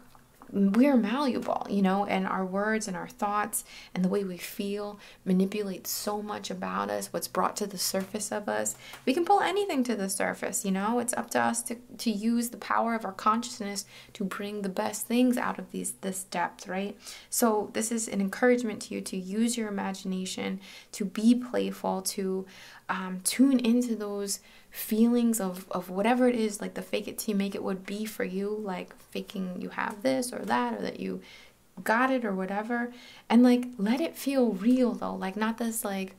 we're malleable, you know, and our words and our thoughts and the way we feel manipulate so much about us, what's brought to the surface of us. We can pull anything to the surface, you know? It's up to us to, to use the power of our consciousness to bring the best things out of these this depth, right? So this is an encouragement to you to use your imagination, to be playful, to um, tune into those feelings of, of whatever it is, like the fake it till you make it would be for you, like faking you have this or that, or that you got it or whatever. And like, let it feel real though, like not this like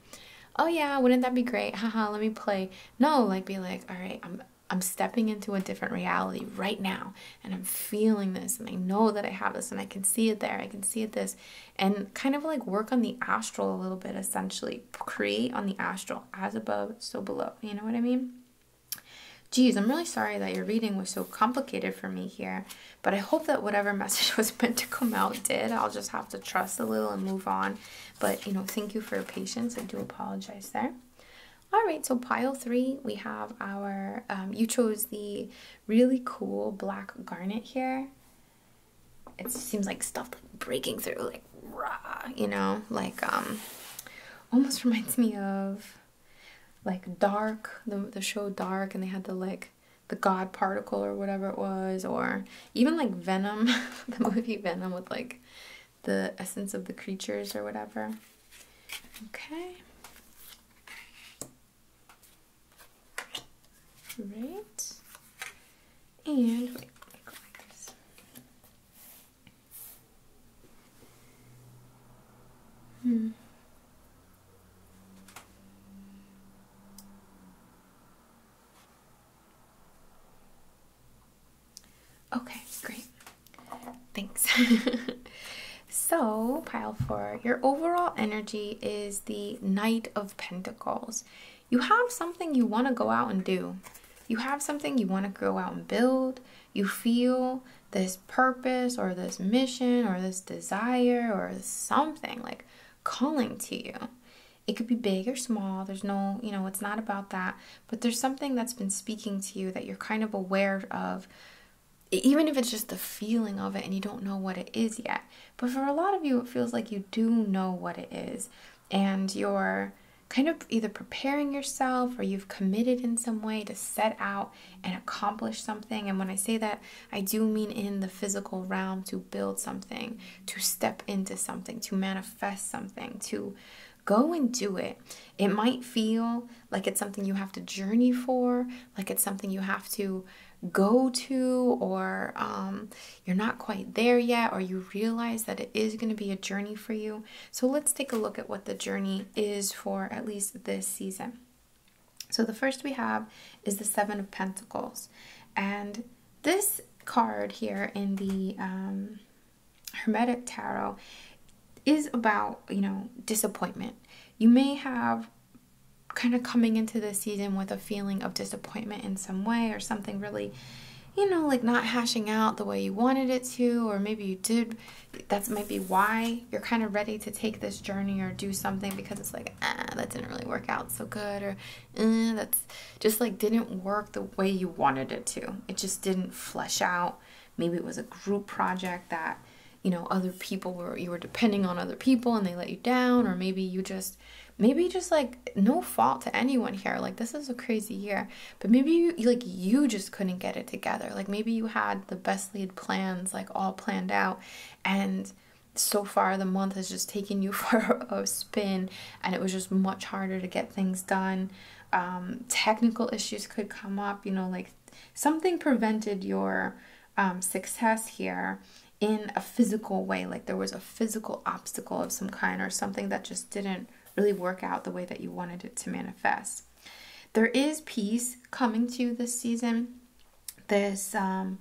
oh yeah, wouldn't that be great? Haha, let me play. No, like be like, all right, I'm I'm stepping into a different reality right now and I'm feeling this and I know that I have this and I can see it there, I can see it this, and kind of like work on the astral a little bit essentially. Create on the astral as above, so below. You know what I mean? Geez, I'm really sorry that your reading was so complicated for me here, but I hope that whatever <laughs> message was meant to come out did. I'll just have to trust a little and move on but, you know, thank you for patience. I do apologize there. All right, so pile three, we have our, um, you chose the really cool black garnet here. It seems like stuff like breaking through, like raw. you know, like um, almost <laughs> reminds me of like Dark, the, the show Dark, and they had the like the God particle or whatever it was, or even like Venom, <laughs> the movie Venom with like the essence of the creatures or whatever. Okay. Right. And Hmm. Okay, great. Thanks. <laughs> so, pile four, your overall energy is the Knight of Pentacles. You have something you want to go out and do, you have something you want to go out and build. You feel this purpose or this mission or this desire or something like calling to you. It could be big or small. There's no, you know, it's not about that. But there's something that's been speaking to you that you're kind of aware of, even if it's just the feeling of it and you don't know what it is yet. But for a lot of you, it feels like you do know what it is. And you're kind of either preparing yourself or you've committed in some way to set out and accomplish something. And when I say that, I do mean in the physical realm to build something, to step into something, to manifest something, to go and do it. It might feel like it's something you have to journey for, like it's something you have to go to, or um, you're not quite there yet, or you realize that it is going to be a journey for you. So let's take a look at what the journey is for at least this season. So the first we have is the Seven of Pentacles. And this card here in the um, Hermetic Tarot is about, you know, disappointment. You may have kind of coming into this season with a feeling of disappointment in some way or something really you know like not hashing out the way you wanted it to or maybe you did that's might be why you're kind of ready to take this journey or do something because it's like ah that didn't really work out so good or Eh, that's just like didn't work the way you wanted it to. It just didn't flesh out. Maybe it was a group project that you know other people were you were depending on other people and they let you down or maybe you just maybe just like no fault to anyone here like this is a crazy year but maybe you like you just couldn't get it together like maybe you had the best lead plans like all planned out and so far the month has just taken you <laughs> for a spin and it was just much harder to get things done um, technical issues could come up you know like something prevented your um, success here in a physical way like there was a physical obstacle of some kind or something that just didn't really work out the way that you wanted it to manifest there is peace coming to you this season this um,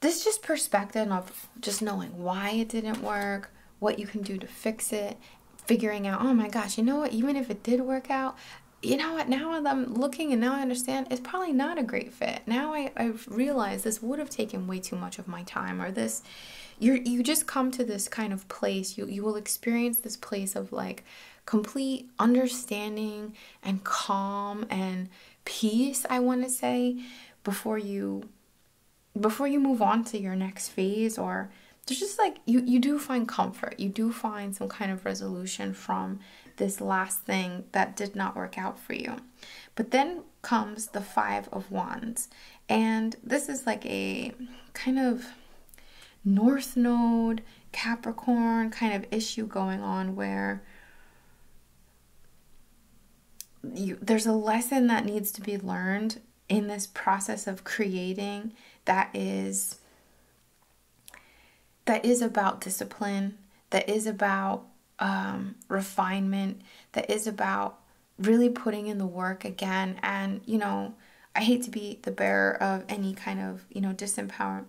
this just perspective of just knowing why it didn't work, what you can do to fix it, figuring out, oh my gosh, you know what, even if it did work out, you know what, now I'm looking and now I understand it's probably not a great fit. Now I, realize this would have taken way too much of my time or this you you just come to this kind of place. You you will experience this place of like complete understanding and calm and peace, I wanna say, before you before you move on to your next phase or there's just like you you do find comfort you do find some kind of resolution from this last thing that did not work out for you but then comes the five of wands and this is like a kind of north node capricorn kind of issue going on where there's a lesson that needs to be learned in this process of creating that is that is about discipline that is about um, refinement that is about really putting in the work again and you know i hate to be the bearer of any kind of you know disempower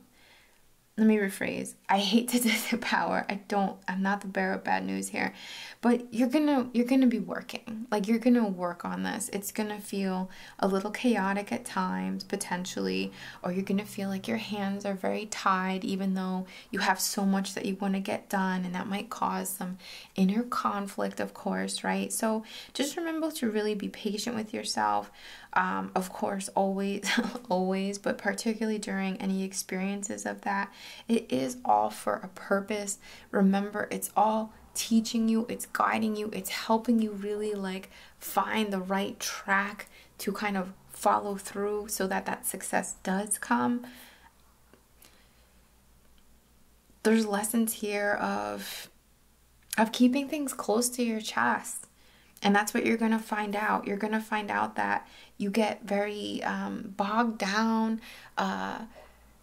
let me rephrase i hate to <laughs> disempower don't I'm not the bearer of bad news here. But you're going to you're going to be working. Like you're going to work on this. It's going to feel a little chaotic at times potentially or you're going to feel like your hands are very tied even though you have so much that you want to get done and that might cause some inner conflict of course, right? So just remember to really be patient with yourself. Um, of course, always, <laughs> always, but particularly during any experiences of that, it is all for a purpose. Remember, it's all teaching you, it's guiding you, it's helping you really like find the right track to kind of follow through so that that success does come. There's lessons here of of keeping things close to your chest. And that's what you're going to find out. You're going to find out that you get very um, bogged down, uh,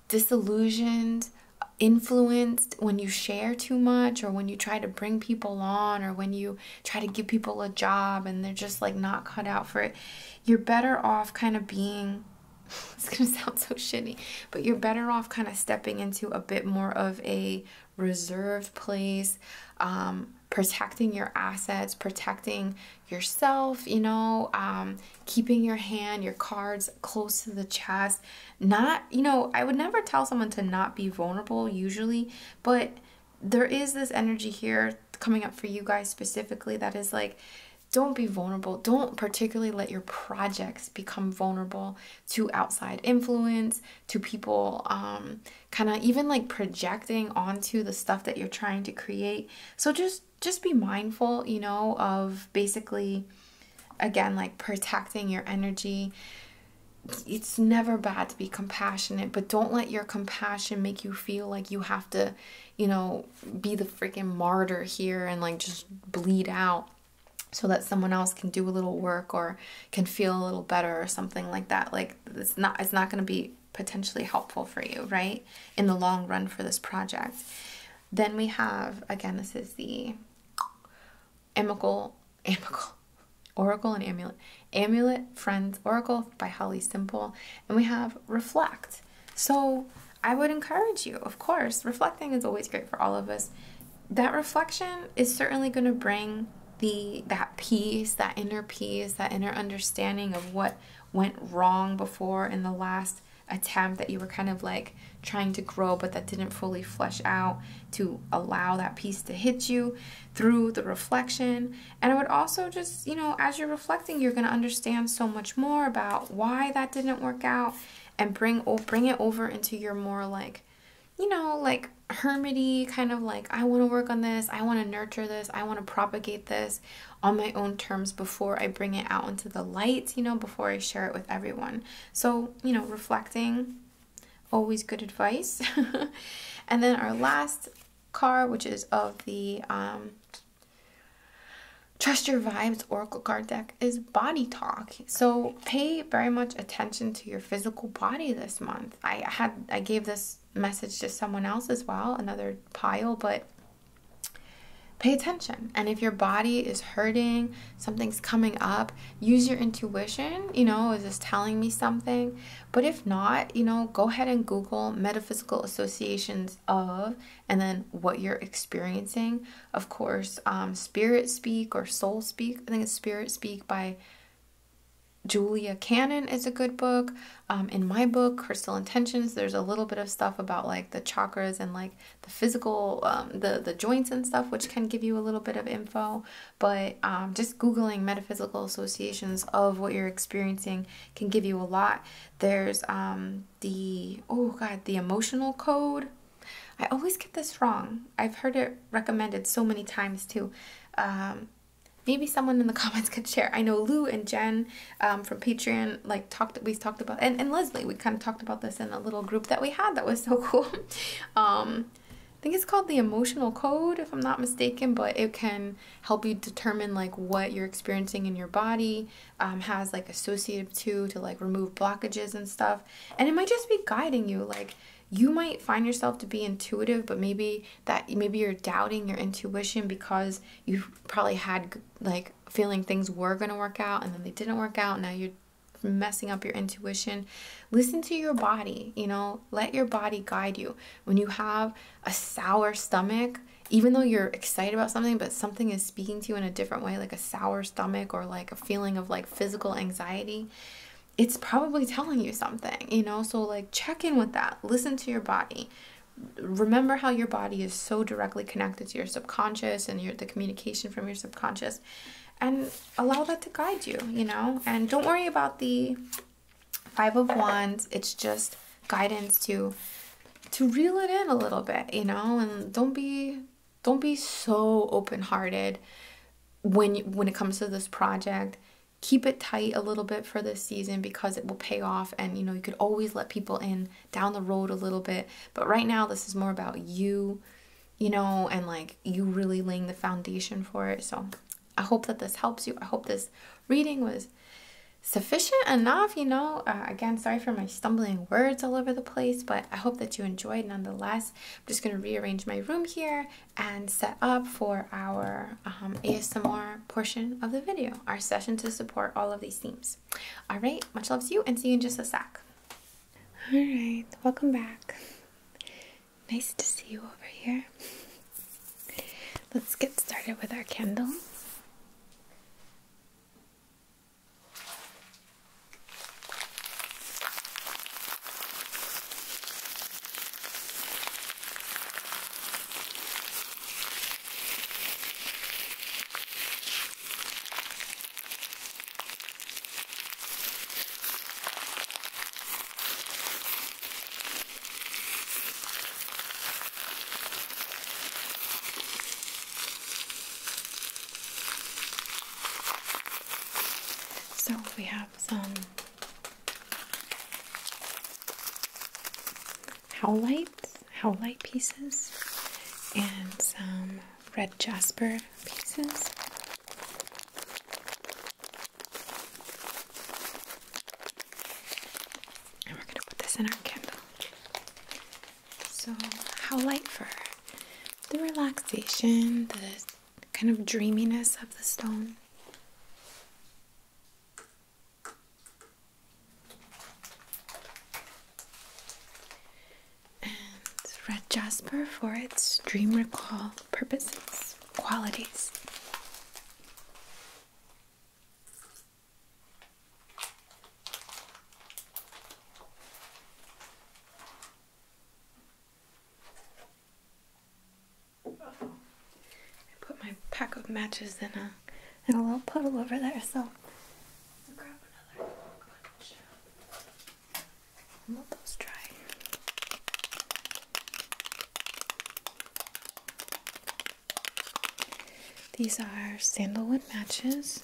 disillusioned, influenced when you share too much or when you try to bring people on or when you try to give people a job and they're just like not cut out for it. You're better off kind of being <laughs> it's going to sound so shitty, but you're better off kind of stepping into a bit more of a reserved place, um, protecting your assets, protecting yourself, you know, um, keeping your hand, your cards close to the chest. Not, you know, I would never tell someone to not be vulnerable usually, but there is this energy here coming up for you guys specifically that is like, don't be vulnerable. Don't particularly let your projects become vulnerable to outside influence, to people um, kind of even like projecting onto the stuff that you're trying to create so just just be mindful, you know, of basically again like protecting your energy. It's never bad to be compassionate, but don't let your compassion make you feel like you have to, you know, be the freaking martyr here and like just bleed out so that someone else can do a little work or can feel a little better or something like that. Like it's not it's not going to be potentially helpful for you, right? In the long run for this project. Then we have, again, this is the Amical, Amical, <laughs> Oracle and Amulet, Amulet, Friends, Oracle by Holly Simple. And we have Reflect. So I would encourage you, of course, reflecting is always great for all of us. That reflection is certainly going to bring the that peace, that inner peace, that inner understanding of what went wrong before in the last attempt that you were kind of like trying to grow but that didn't fully flesh out to allow that piece to hit you through the reflection and it would also just you know as you're reflecting you're going to understand so much more about why that didn't work out and bring bring it over into your more like you know like hermity kind of like i want to work on this i want to nurture this i want to propagate this on my own terms before I bring it out into the light, you know, before I share it with everyone. So, you know, reflecting, always good advice. <laughs> and then our last card, which is of the um, Trust Your Vibes Oracle card deck is body talk. So pay very much attention to your physical body this month. I had I gave this message to someone else as well, another pile, but Pay attention. And if your body is hurting, something's coming up, use your intuition. You know, is this telling me something? But if not, you know, go ahead and Google metaphysical associations of and then what you're experiencing. Of course, um, Spirit Speak or Soul Speak. I think it's Spirit Speak by Julia Cannon is a good book. Um, in my book, Crystal Intentions, there's a little bit of stuff about like the chakras and like the physical, um, the, the joints and stuff, which can give you a little bit of info. But um, just Googling metaphysical associations of what you're experiencing can give you a lot. There's the, oh God, the emotional code. I always get this wrong. I've heard it recommended so many times too maybe someone in the <laughs> comments could share. I know Lou and Jen um, from Patreon like talked we talked about and, and Leslie we kind of talked about this in a little group that we had that was <laughs> so cool. Um, I think it's called the emotional code if I'm not mistaken, but it can help you determine like what you're experiencing in your body um, has like associated to to like remove blockages and stuff. And it might just be guiding you like you might find yourself to be intuitive, but maybe that maybe you're doubting your intuition because you probably had like feeling things were going to work out and then they didn't work out. Now you're messing up your intuition. Listen to your body, you know, let your body guide you. When you have a sour stomach, even though you're excited about something, but something is speaking to you in a different way, like a sour stomach or like a feeling of like physical anxiety, it's probably telling you something, you know? So, like, check in with that. Listen to your body remember how your body is so directly connected to your subconscious and your the communication from your subconscious and allow that to guide you you know and don't worry about the five of wands it's just guidance to to reel it in a little bit you know and don't be don't be so open-hearted when when it comes to this project keep it tight a little bit for this season because it will pay off and you know you could always let people in down the road a little bit but right now this is more about you you know and like you really laying the foundation for it so i hope that this helps you i hope this reading was sufficient enough you know uh, again sorry for my stumbling words all over the place but i hope that you enjoyed nonetheless i'm just going to rearrange my room here and set up for our um, asmr portion of the video our session to support all of these themes. All right, much love to you and see you in just a sec. All right, welcome back. Nice to see you over here. Let's get started with our candle. So we have some howlites howlite pieces and some red jasper pieces. And we're going to put this in our candle. So, howlite for the relaxation, the kind of dreaminess of the stone. And red jasper for its dream recall purposes, qualities. I put my pack of matches in a and a little puddle over there. So let those dry. These are sandalwood matches.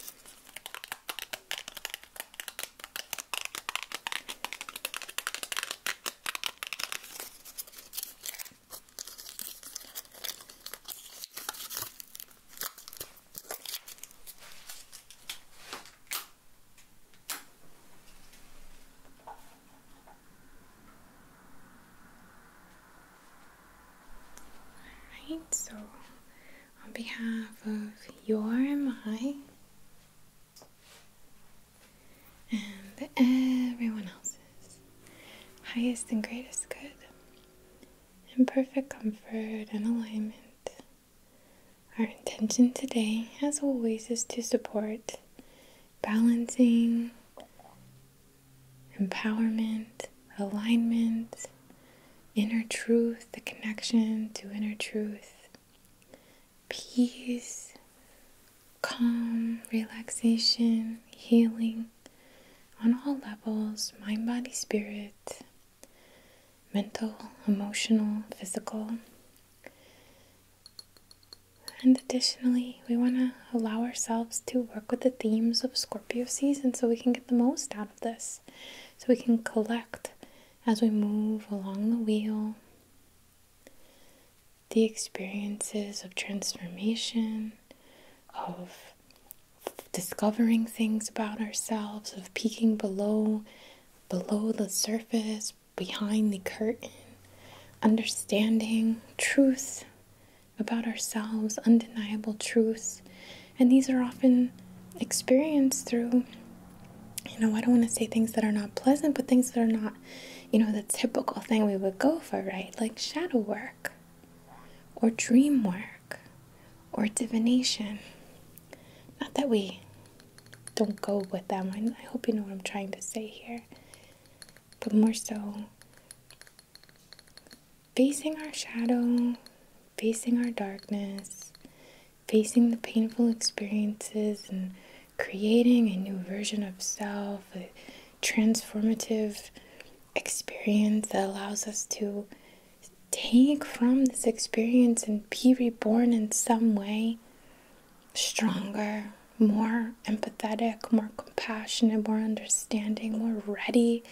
All right, so on behalf of your MI and everyone else's highest and greatest good, in perfect comfort and alignment. Our intention today, as always, is to support balancing, empowerment, alignment, inner truth, the connection to inner truth, peace, calm, relaxation, healing on all levels mind, body, spirit, mental, emotional, physical. And additionally, we want to allow ourselves to work with the themes of Scorpio season so we can get the most out of this. So we can collect as we move along the wheel the experiences of transformation, of discovering things about ourselves, of peeking below below the surface, behind the curtain, understanding truths about ourselves, undeniable truths. And these are often experienced through you know, I don't want to say things that are not pleasant, but things that are not, you know, the typical thing we would go for, right? Like shadow work or dream work or divination. Not that we don't go with them, I, hope you know what I'm trying to say here, but more so facing our shadow, facing our darkness, facing the painful experiences, and creating a new version of self transformative experience that allows us to take from this experience and be reborn in some way stronger, more empathetic, more compassionate, more understanding, more ready,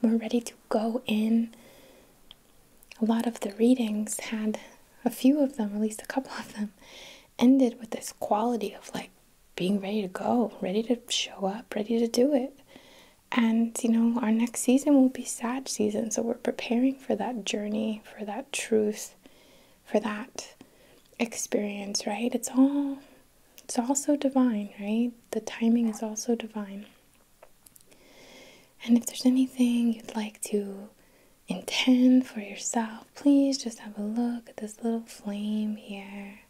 more ready to go in. A lot of the readings had a few of them, at least a couple of them, ended with this quality of like being ready to go, ready to show up, ready to do it. And, you know, our next season will be sad season. So we're preparing for that journey, for that truth, for that experience, right? It's all it's all so divine, right? The timing is also divine. And if there's anything you'd like to intend for yourself, please just have a look at this little flame here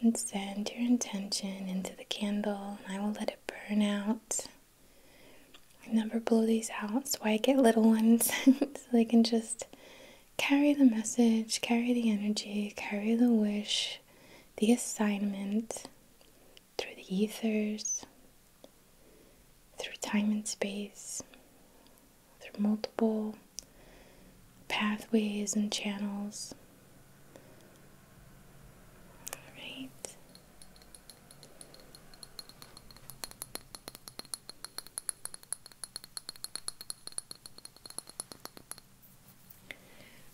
and send your intention into the candle, and I will let it burn out. I never blow these out, so I get little ones <laughs> so they can just carry the message, carry the energy, carry the wish, the assignment through the ethers, through time and space, through multiple pathways and channels. All right.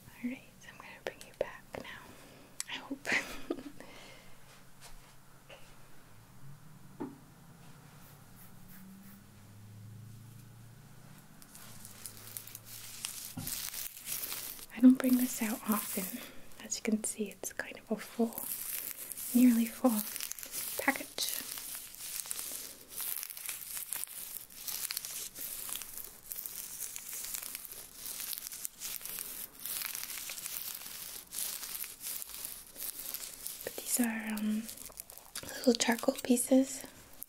All right, I'm going to bring you back now. I hope. <laughs> I don't bring this out often. As you can see, it's kind of a full, nearly full package. But these are um, little charcoal pieces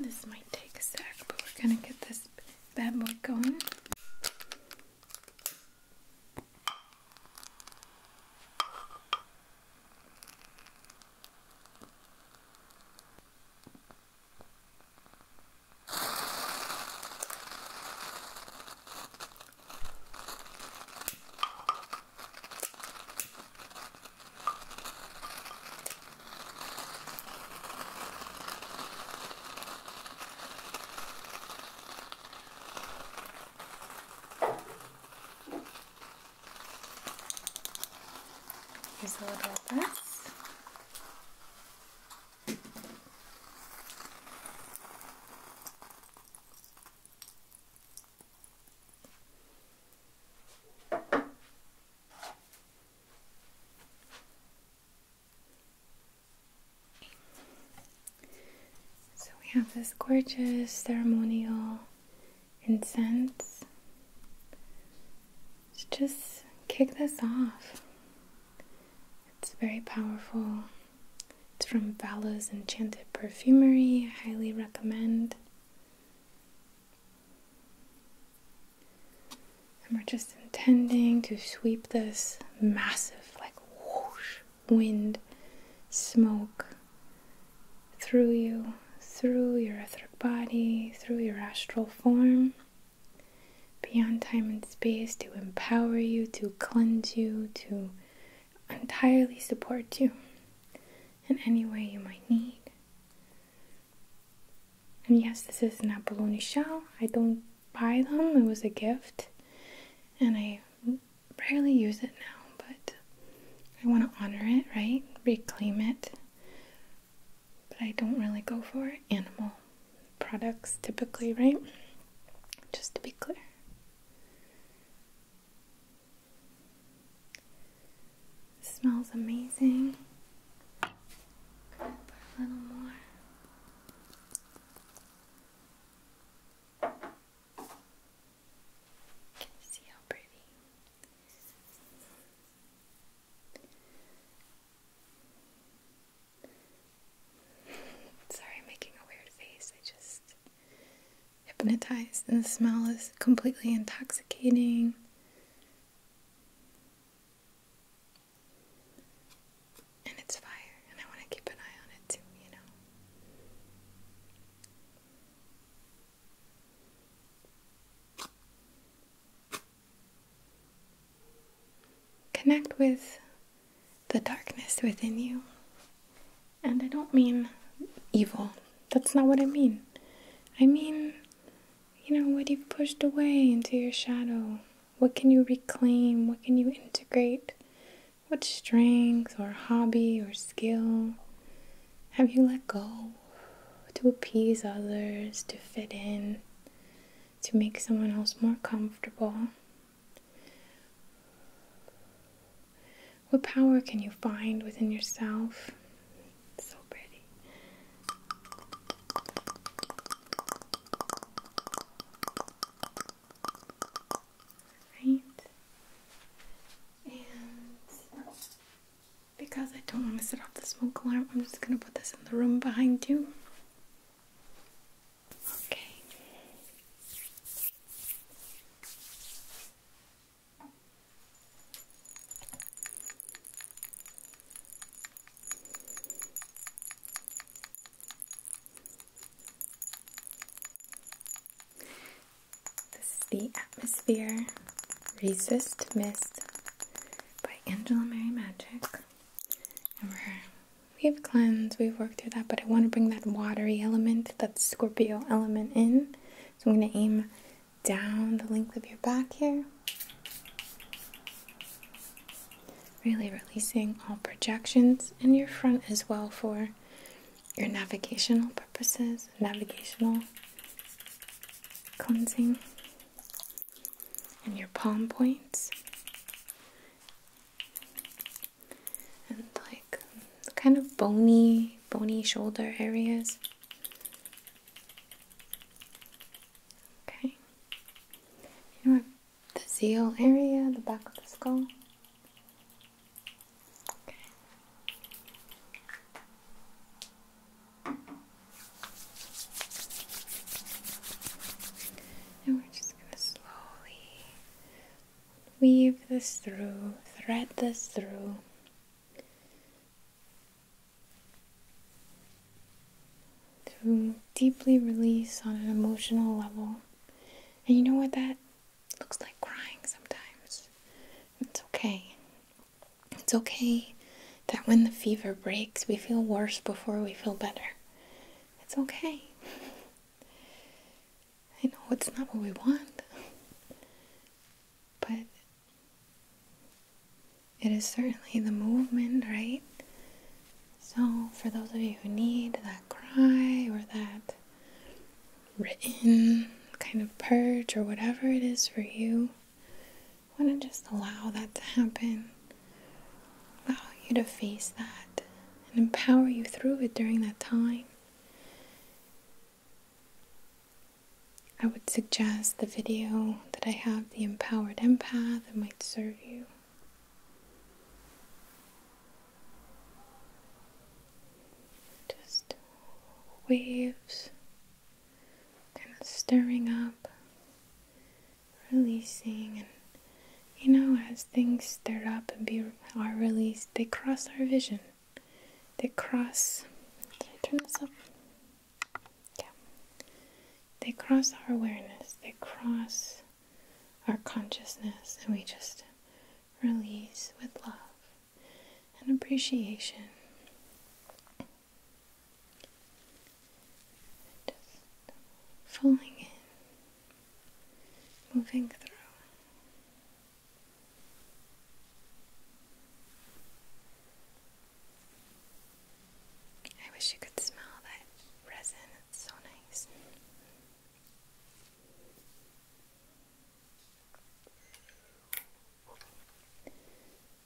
this might take a sec, but we're gonna get this bad boy going. Here's a little of this. So we have this gorgeous ceremonial incense to just kick this off. It's very powerful. It's from Vala's Enchanted Perfumery. I highly recommend. And we're just intending to sweep this massive, like, whoosh, wind, smoke through you, through your etheric body, through your astral form beyond time and space to empower you, to cleanse you, to entirely support you in any way you might need. And yes, this is an abalone shell. I don't buy them, it was a gift, and I rarely use it now, but I want to honor it, right? Reclaim it but I don't really go for animal products typically, right? Just to be clear. smells amazing. Put a little more. You see how pretty. <laughs> Sorry, I'm making a weird face. I just hypnotized, and the smell is completely intoxicating. And it's fire, and I want to keep an eye on it too, you know. Connect with the darkness within you. And I don't mean evil, that's not what I mean. I mean, you know, what you've pushed away into your shadow. What can you reclaim? What can you integrate? What strength or hobby or skill have you let go? to appease others, to fit in, to make someone else more comfortable. What power can you find within yourself? so pretty. Right? And because I don't want to set off the smoke alarm, I'm just going to put this in the room behind you. Okay. the atmosphere resist mist by Angela Mary Magic. we we've cleansed, we've worked through that, but I want to bring that watery element, that Scorpio element in. So I'm going to aim down the length of your back here. Really releasing all projections and your front as well for your navigational purposes, navigational cleansing and your palm points and like kind of bony bony shoulder areas okay you know the zeal area the back of the skull and we're just going to slowly weave this through, thread this through. To deeply release on an emotional level. And you know what that looks like crying sometimes. It's okay. It's okay that when the fever breaks, we feel worse before we feel better. It's okay. I know it's not what we want, but it is certainly the movement, right? So, for those of you who need that cry or that written kind of purge or whatever it is for you, want to just allow that to happen. Allow you to face that and empower you through it during that time. I would suggest the video that I have, The Empowered Empath, it might serve you. Just waves kind of stirring up releasing and you know as things stir up and be are released they cross our vision they cross did I turn this up yeah they cross our awareness they cross our consciousness and we just release with love and appreciation just falling in, moving through. I wish you could smell that resin, it's so nice.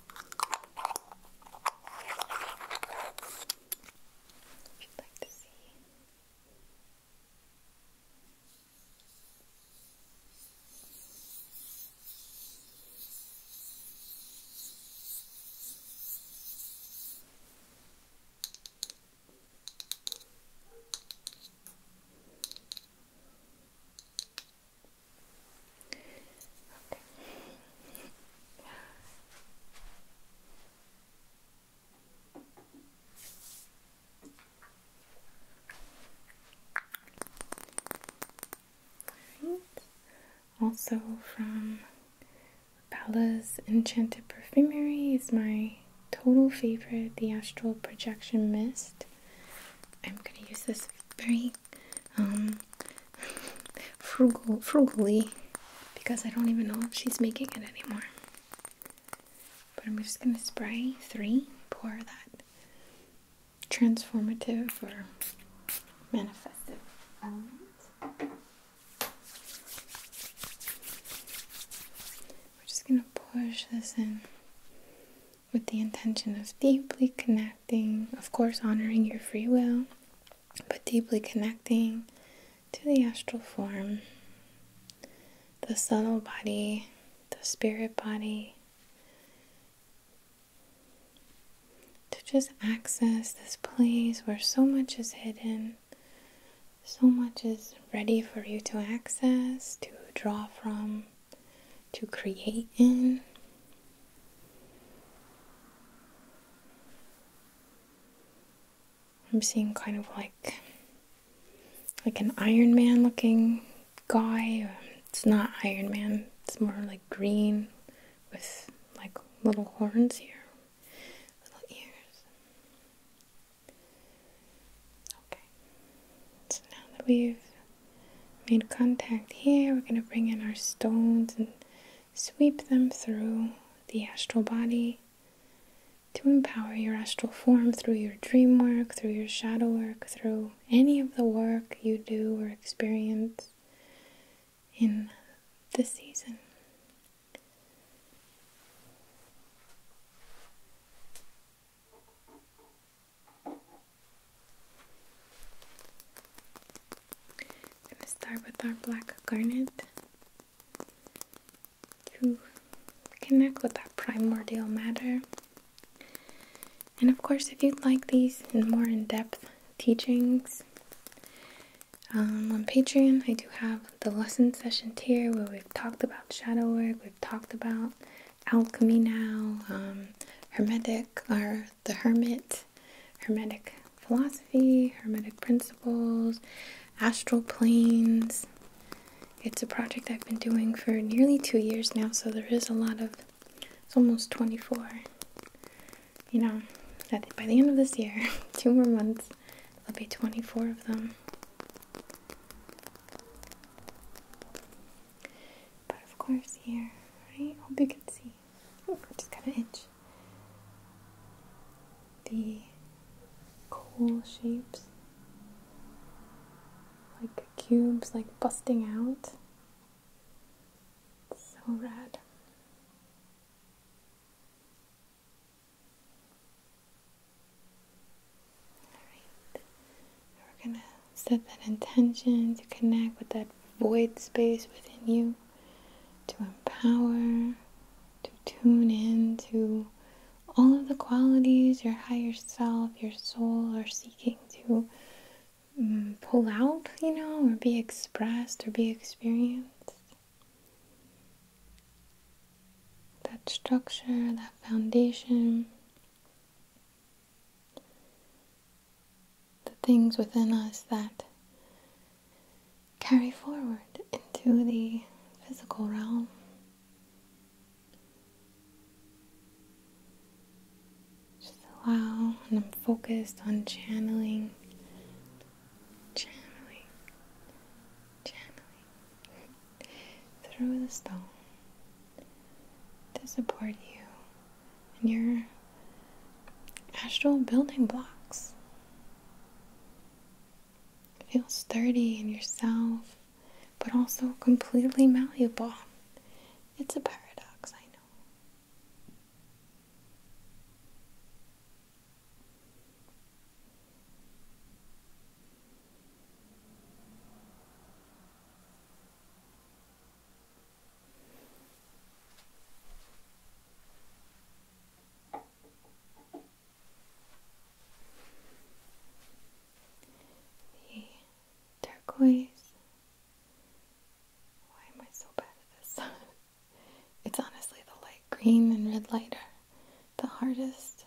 You'd like to see. Good. Also from Bella's Enchanted Perfumery is my total favorite, the Astral Projection Mist. I'm going to use this very um, frugal, frugally because I don't even know if she's making it anymore. But I'm just gonna spray three, pour that transformative or manifestive We're just gonna push this in with the intention of deeply connecting, of course, honoring your free will, but deeply connecting to the astral form, the subtle body, the spirit body, to just access this place where so much is hidden, so much is ready for you to access, to draw from, to create in. I'm seeing kind of like like an Iron Man looking guy. It's not Iron Man. It's more like green with like little horns here, little ears. Okay. So now that we've made contact here, we're gonna bring in our stones and Sweep them through the astral body to empower your astral form through your dream work, through your shadow work, through any of the work you do or experience in the season. I'm gonna start with our black garnet to connect with that primordial matter. And of course, if you'd like these and more in depth teachings, um, on Patreon, I do have the lesson session tier where we've talked about shadow work, we've talked about alchemy now, um, hermetic, or the hermit, hermetic philosophy, hermetic principles, astral planes. It's a project I've been doing for nearly two years now, so there is a lot of it's almost 24. You know, by the end of this year, <laughs> two more months, there'll be 24 of them. But of course, here, right? Hope you can see. Ooh, I just got an inch The cool shapes, like cubes, like busting out. so rad. we're gonna set that intention to connect with that void space within you, to empower, to tune in to all of the qualities your higher self, your soul are seeking to mm, pull out, you know, or be expressed or be experienced. That structure, that foundation the things within us that carry forward into the physical realm. Just allow, and I'm focused on channeling, channeling, channeling through the stone to support you and your astral building blocks. Feel sturdy in yourself, but also completely malleable. It's a paradox, I know. The turquoise. Why am I so bad at this? <laughs> it's honestly the light green and red light are the hardest.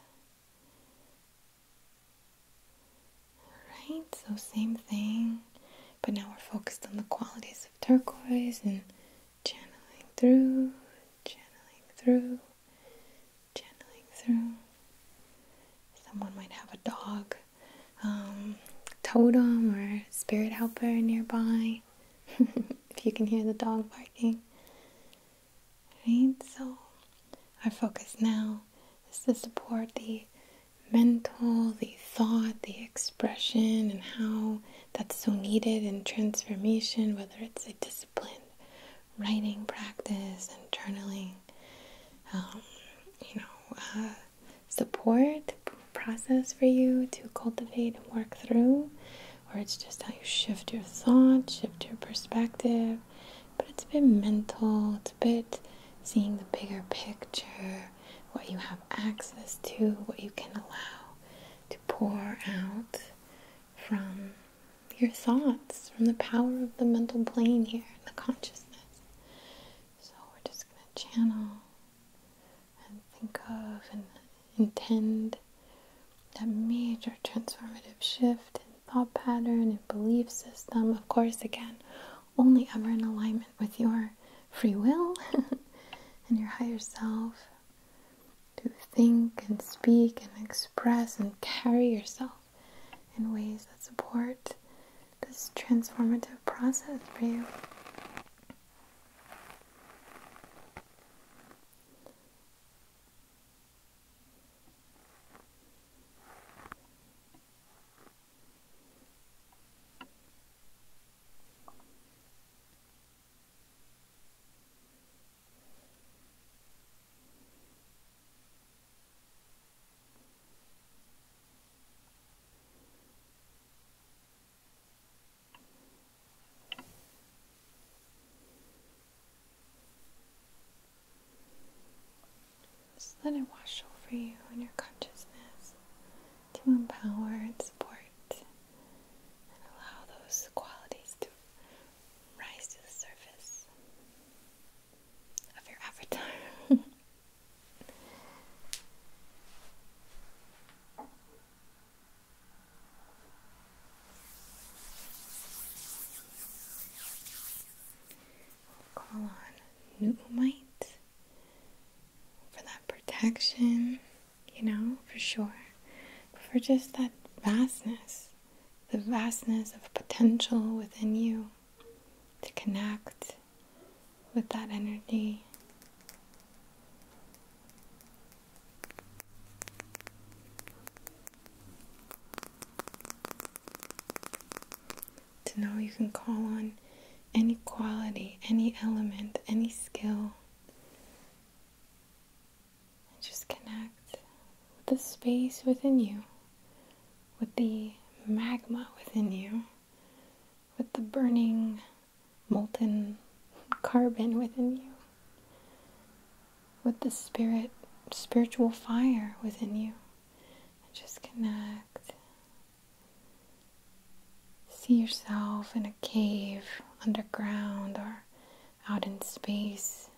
Right, so same thing, but now we're focused on the qualities turquoise and channeling through, channeling through, channeling through. Someone might have a dog um, totem or spirit helper nearby <laughs> if you can hear the dog barking. Right? So, our focus now is to support the mental, the thought, the expression, and how that's so needed in transformation, whether it's a disciplined writing practice and journaling, um, you know, uh, support process for you to cultivate and work through, or it's just how you shift your thought, shift your perspective. But it's a bit mental, it's a bit seeing the bigger picture, what you have access to, what you can allow to pour out from your thoughts, from the power of the mental plane here, the consciousness. So we're just going to channel and think of and intend that major transformative shift in thought pattern and belief system. Of course, again, only ever in alignment with your free will <laughs> and your higher self to think and speak and express and carry yourself in ways that support this transformative process for you let it wash over you and your consciousness to empower and support and allow those qualities to rise to the surface of your avatar. <laughs> we call on Noomite for that protection you know, for sure, for just that vastness, the vastness of potential within you to connect with that energy. To know you can call on any quality, any element, any skill. And just connect with the space within you, with the magma within you, with the burning, molten carbon within you, with the spirit, spiritual fire within you. And just connect See yourself in a cave, underground, or out in space,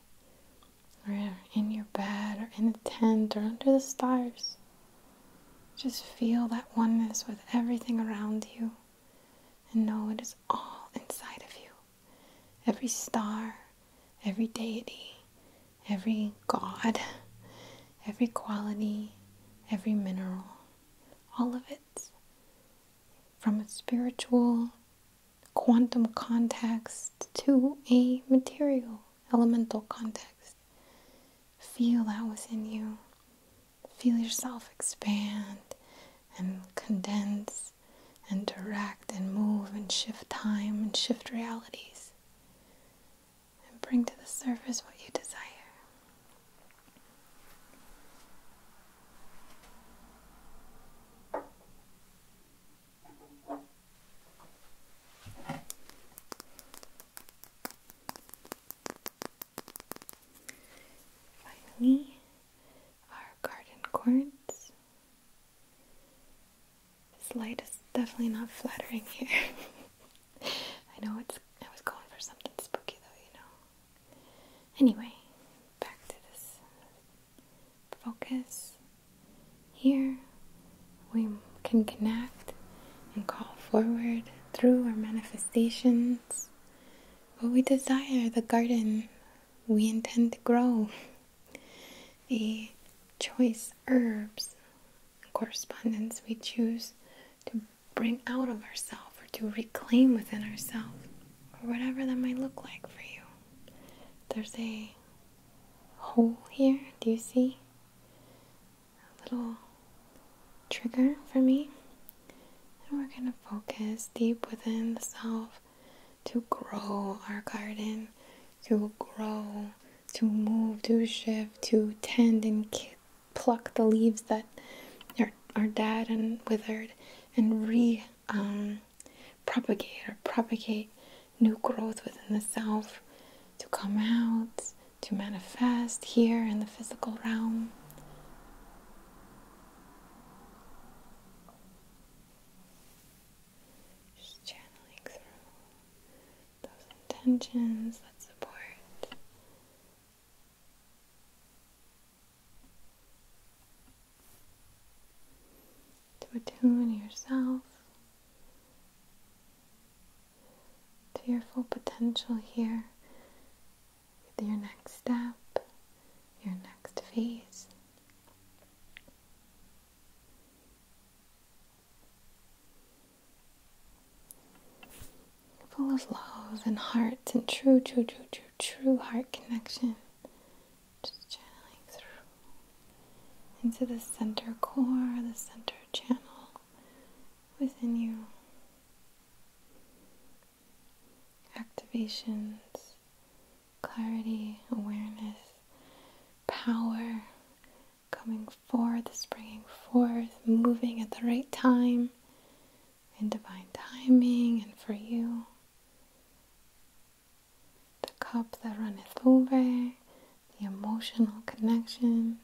or in your bed, or in a tent, or under the stars. Just feel that oneness with everything around you and know it is all inside of you. Every star, every deity, every god, every quality, every mineral, all of it from a spiritual quantum context to a material elemental context. Feel that within you. Feel yourself expand and condense and direct and move and shift time and shift realities and bring to the surface what you desire. Finally, our garden cords. This light is definitely not flattering here. <laughs> I know it's. I was going for something spooky though, you know. Anyway, back to this focus. Here we can connect and call forward through our manifestations what we desire, the garden we intend to grow, the <laughs> choice herbs, correspondence we choose to bring out of ourselves or to reclaim within ourselves or whatever that might look like for you. There's a hole here, do you see? A little trigger for me. And we're going to focus deep within the self to grow our garden, to grow, to move, to shift, to tend and pluck the leaves that are, are dead and withered and re um, propagate or propagate new growth within the self to come out, to manifest here in the physical realm. Just channeling through those intentions that support to attune yourself to your full potential here your next step, your next phase full of love and heart and true, true, true, true, true heart connection. Just channeling through into the center core, the center channel within you. Activations, clarity, awareness, power coming forth, springing forth, moving at the right time in divine timing and for you. The cup that runneth over, the emotional connections,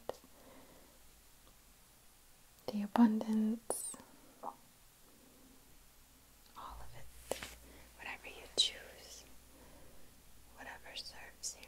the abundance, all of it, whatever you choose, whatever serves you.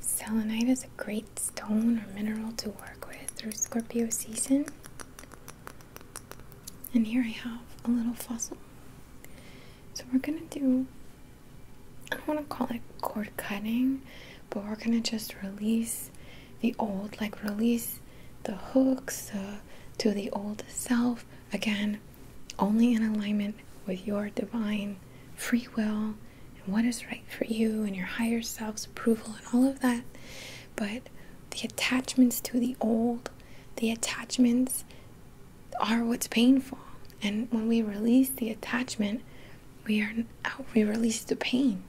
Selenite is a great stone or mineral to work with through Scorpio season. And here I have a little fossil. So we're gonna do, I don't wanna call it cord cutting, but we're gonna just release the old, like release the hooks to the old self again, only in alignment with your divine free will and what is right for you and your higher self's approval and all of that. But the attachments to the old, the attachments are what's painful. And when we release the attachment, we are out, we release the pain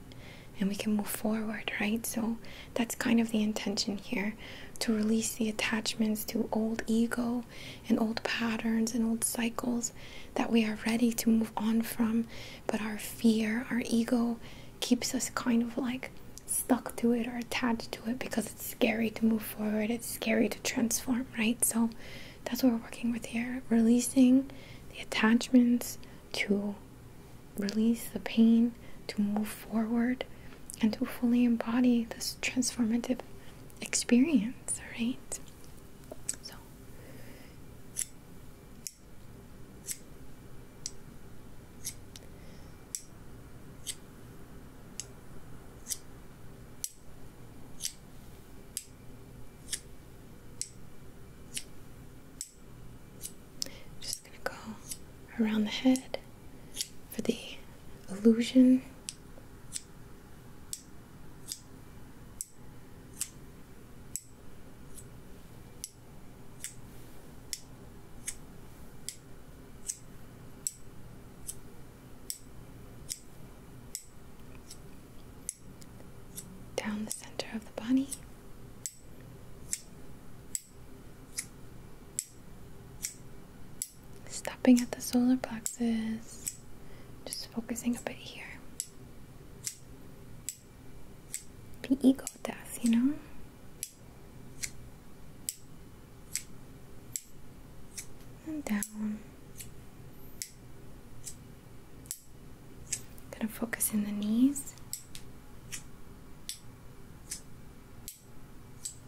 and we can move forward, right? So that's kind of the intention here to release the attachments to old ego and old patterns and old cycles that we are ready to move on from, but our fear, our ego keeps us kind of like stuck to it or attached to it because it's scary to move forward, it's scary to transform, right? So that's what we're working with here, releasing the attachments to release the pain, to move forward, and to fully embody this transformative experience, right? So, just gonna go around the head for the illusion. Down the center of the body. Stopping at the solar plexus, just focusing a bit here. Be ego death, you know? And down. Gonna focus in the knees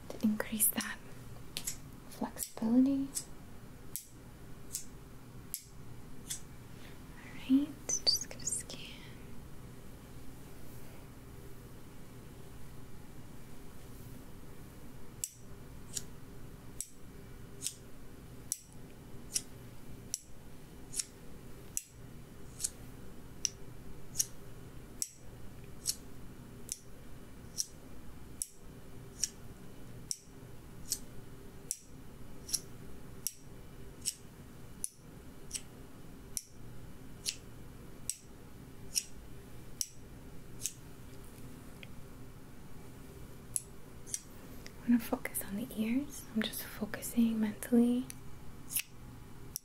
to increase that flexibility. Alright, just gonna scan. I'm going to focus on the ears. I'm just focusing mentally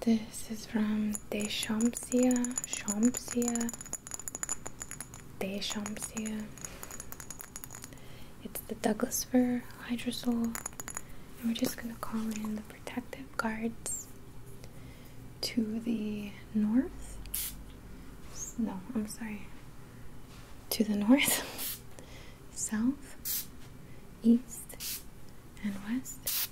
This is from Deshamsia, Shamsia, Deshamsia. It's the Douglas fir, hydrosol, and we're just going to call in the protective guards to the north. No, I'm sorry. To the north, <laughs> south, east, and west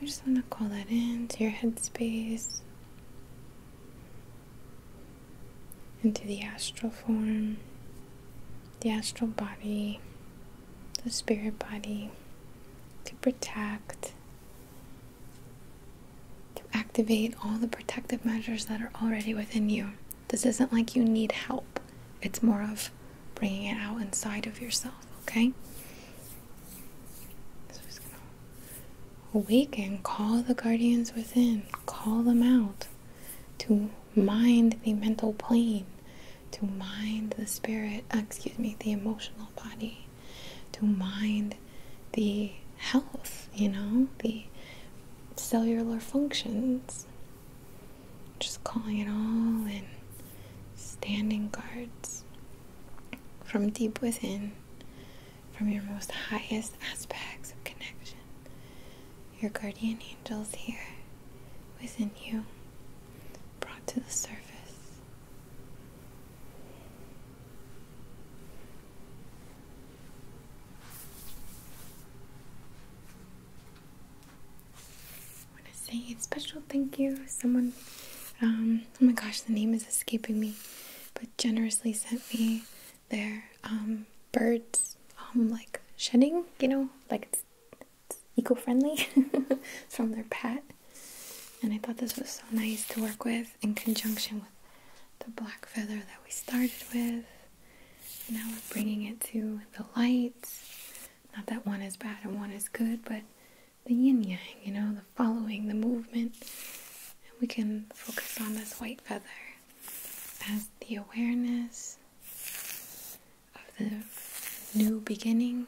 we just want to call that into your headspace, into the astral form, the astral body, the spirit body, to protect, to activate all the protective measures that are already within you. This isn't like you need help, it's more of bringing it out inside of yourself okay? So awaken, call the guardians within, call them out to mind the mental plane, to mind the spirit, uh, excuse me, the emotional body, to mind the health, you know, the cellular functions. Just calling it all in. Standing guards, from deep within, from your most highest aspects of connection. Your guardian angels here within you, brought to the surface. I want to say a special thank you. Someone, um, oh my gosh, the name is escaping me, but generously sent me their um, birds, um, like shedding, you know, like it's, eco friendly <laughs> from their pet. And I thought this was so nice to work with in conjunction with the black feather that we started with. Now we're bringing it to the lights. Not that one is bad and one is good, but the yin yang, you know, the following, the movement. And we can focus on this white feather as the awareness of the new beginning,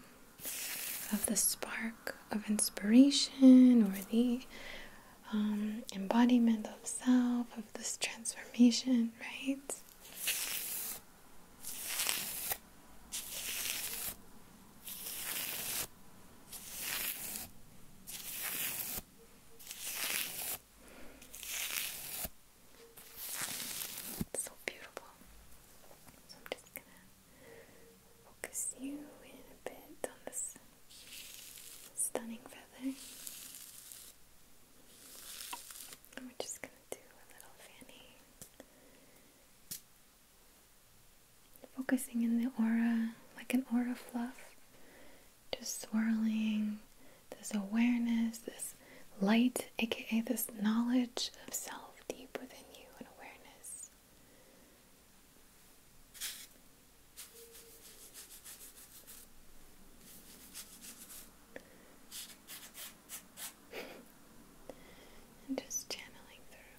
of the spark of inspiration or the um, embodiment of self, of this transformation, right? It's so beautiful. So I'm just gonna focus you in a bit on this stunning feather. And we're just gonna do a little fanning. Focusing in the aura like an aura fluff, just swirling this awareness, this light, aka this knowledge of self deep within you and awareness and just channeling through,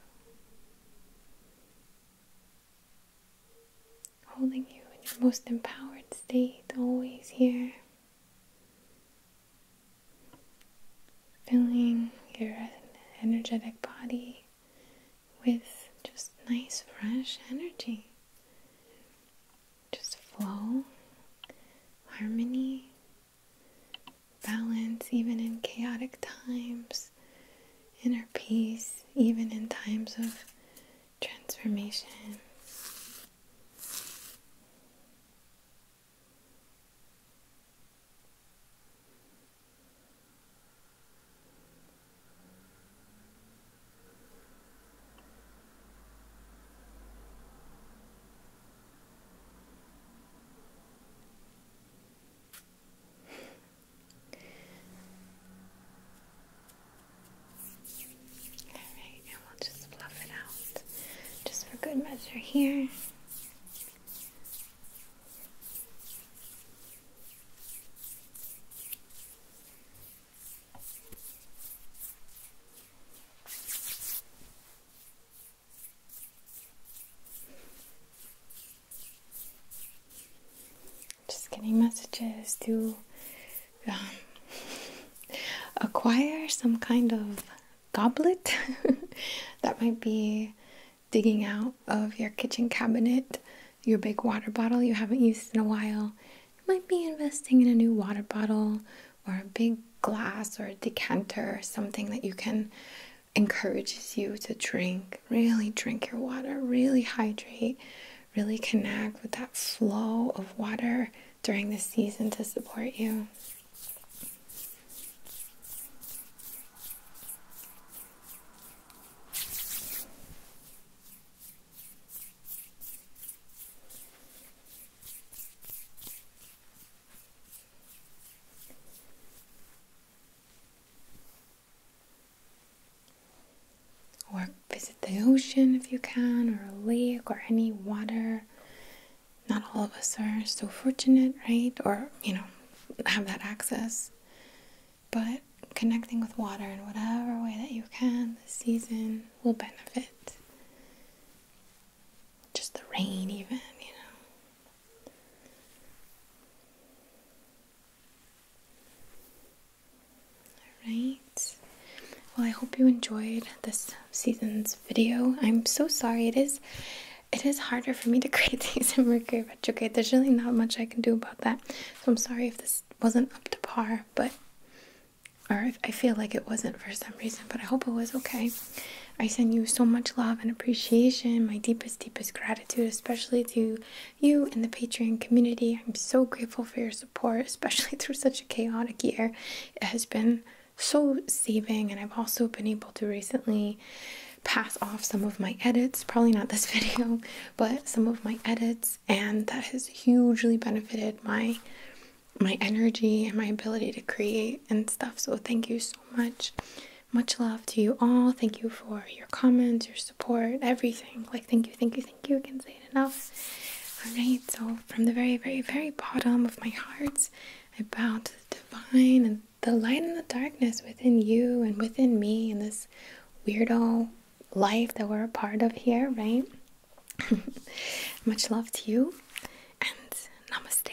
holding you in your most empowered state, always here, filling your energetic body with just nice, fresh energy. Just flow, harmony, balance even in chaotic times, inner peace even in times of transformation. Alright, and we'll just fluff it out just for good measure here. Just getting messages to um, <laughs> acquire some kind of goblet <laughs> that might be digging out of your kitchen cabinet your big water bottle you haven't used in a while. You might be investing in a new water bottle or a big glass or a decanter, something that you can encourages you to drink, really drink your water, really hydrate, really connect with that flow of water during the season to support you. Or visit the ocean if you can, or a lake, or any water. Not all of us are so fortunate, right? Or, you know, have that access. But connecting with water in whatever way that you can this season will benefit. Just the rain, even, you know. Alright, well, I hope you enjoyed this season's video. I'm so sorry, it is. It is harder for me to <laughs> create these in Mercury retrograde. There's really not much I can do about that. So I'm sorry if this wasn't up to par, but or I feel like it wasn't for some reason, but I hope it was okay. I send you so much love and appreciation, my deepest, deepest gratitude, especially to you and the Patreon community. I'm so grateful for your support, <laughs> especially through such a chaotic year. It has been so saving, and I've also been able to recently pass off some of my edits, probably not this <laughs> video, but some of my edits, and that has hugely benefited my my energy and my ability to create and stuff. So thank you so much. Much love to you all. Thank you for your comments, your support, everything. Like, thank you, thank you, thank you. I can say it enough. All right, so from the very, very, very bottom of my heart, I bow to the divine and the light and the darkness within you and within me in this weirdo life that we're a part of here, right? <laughs> Much love to you and namaste.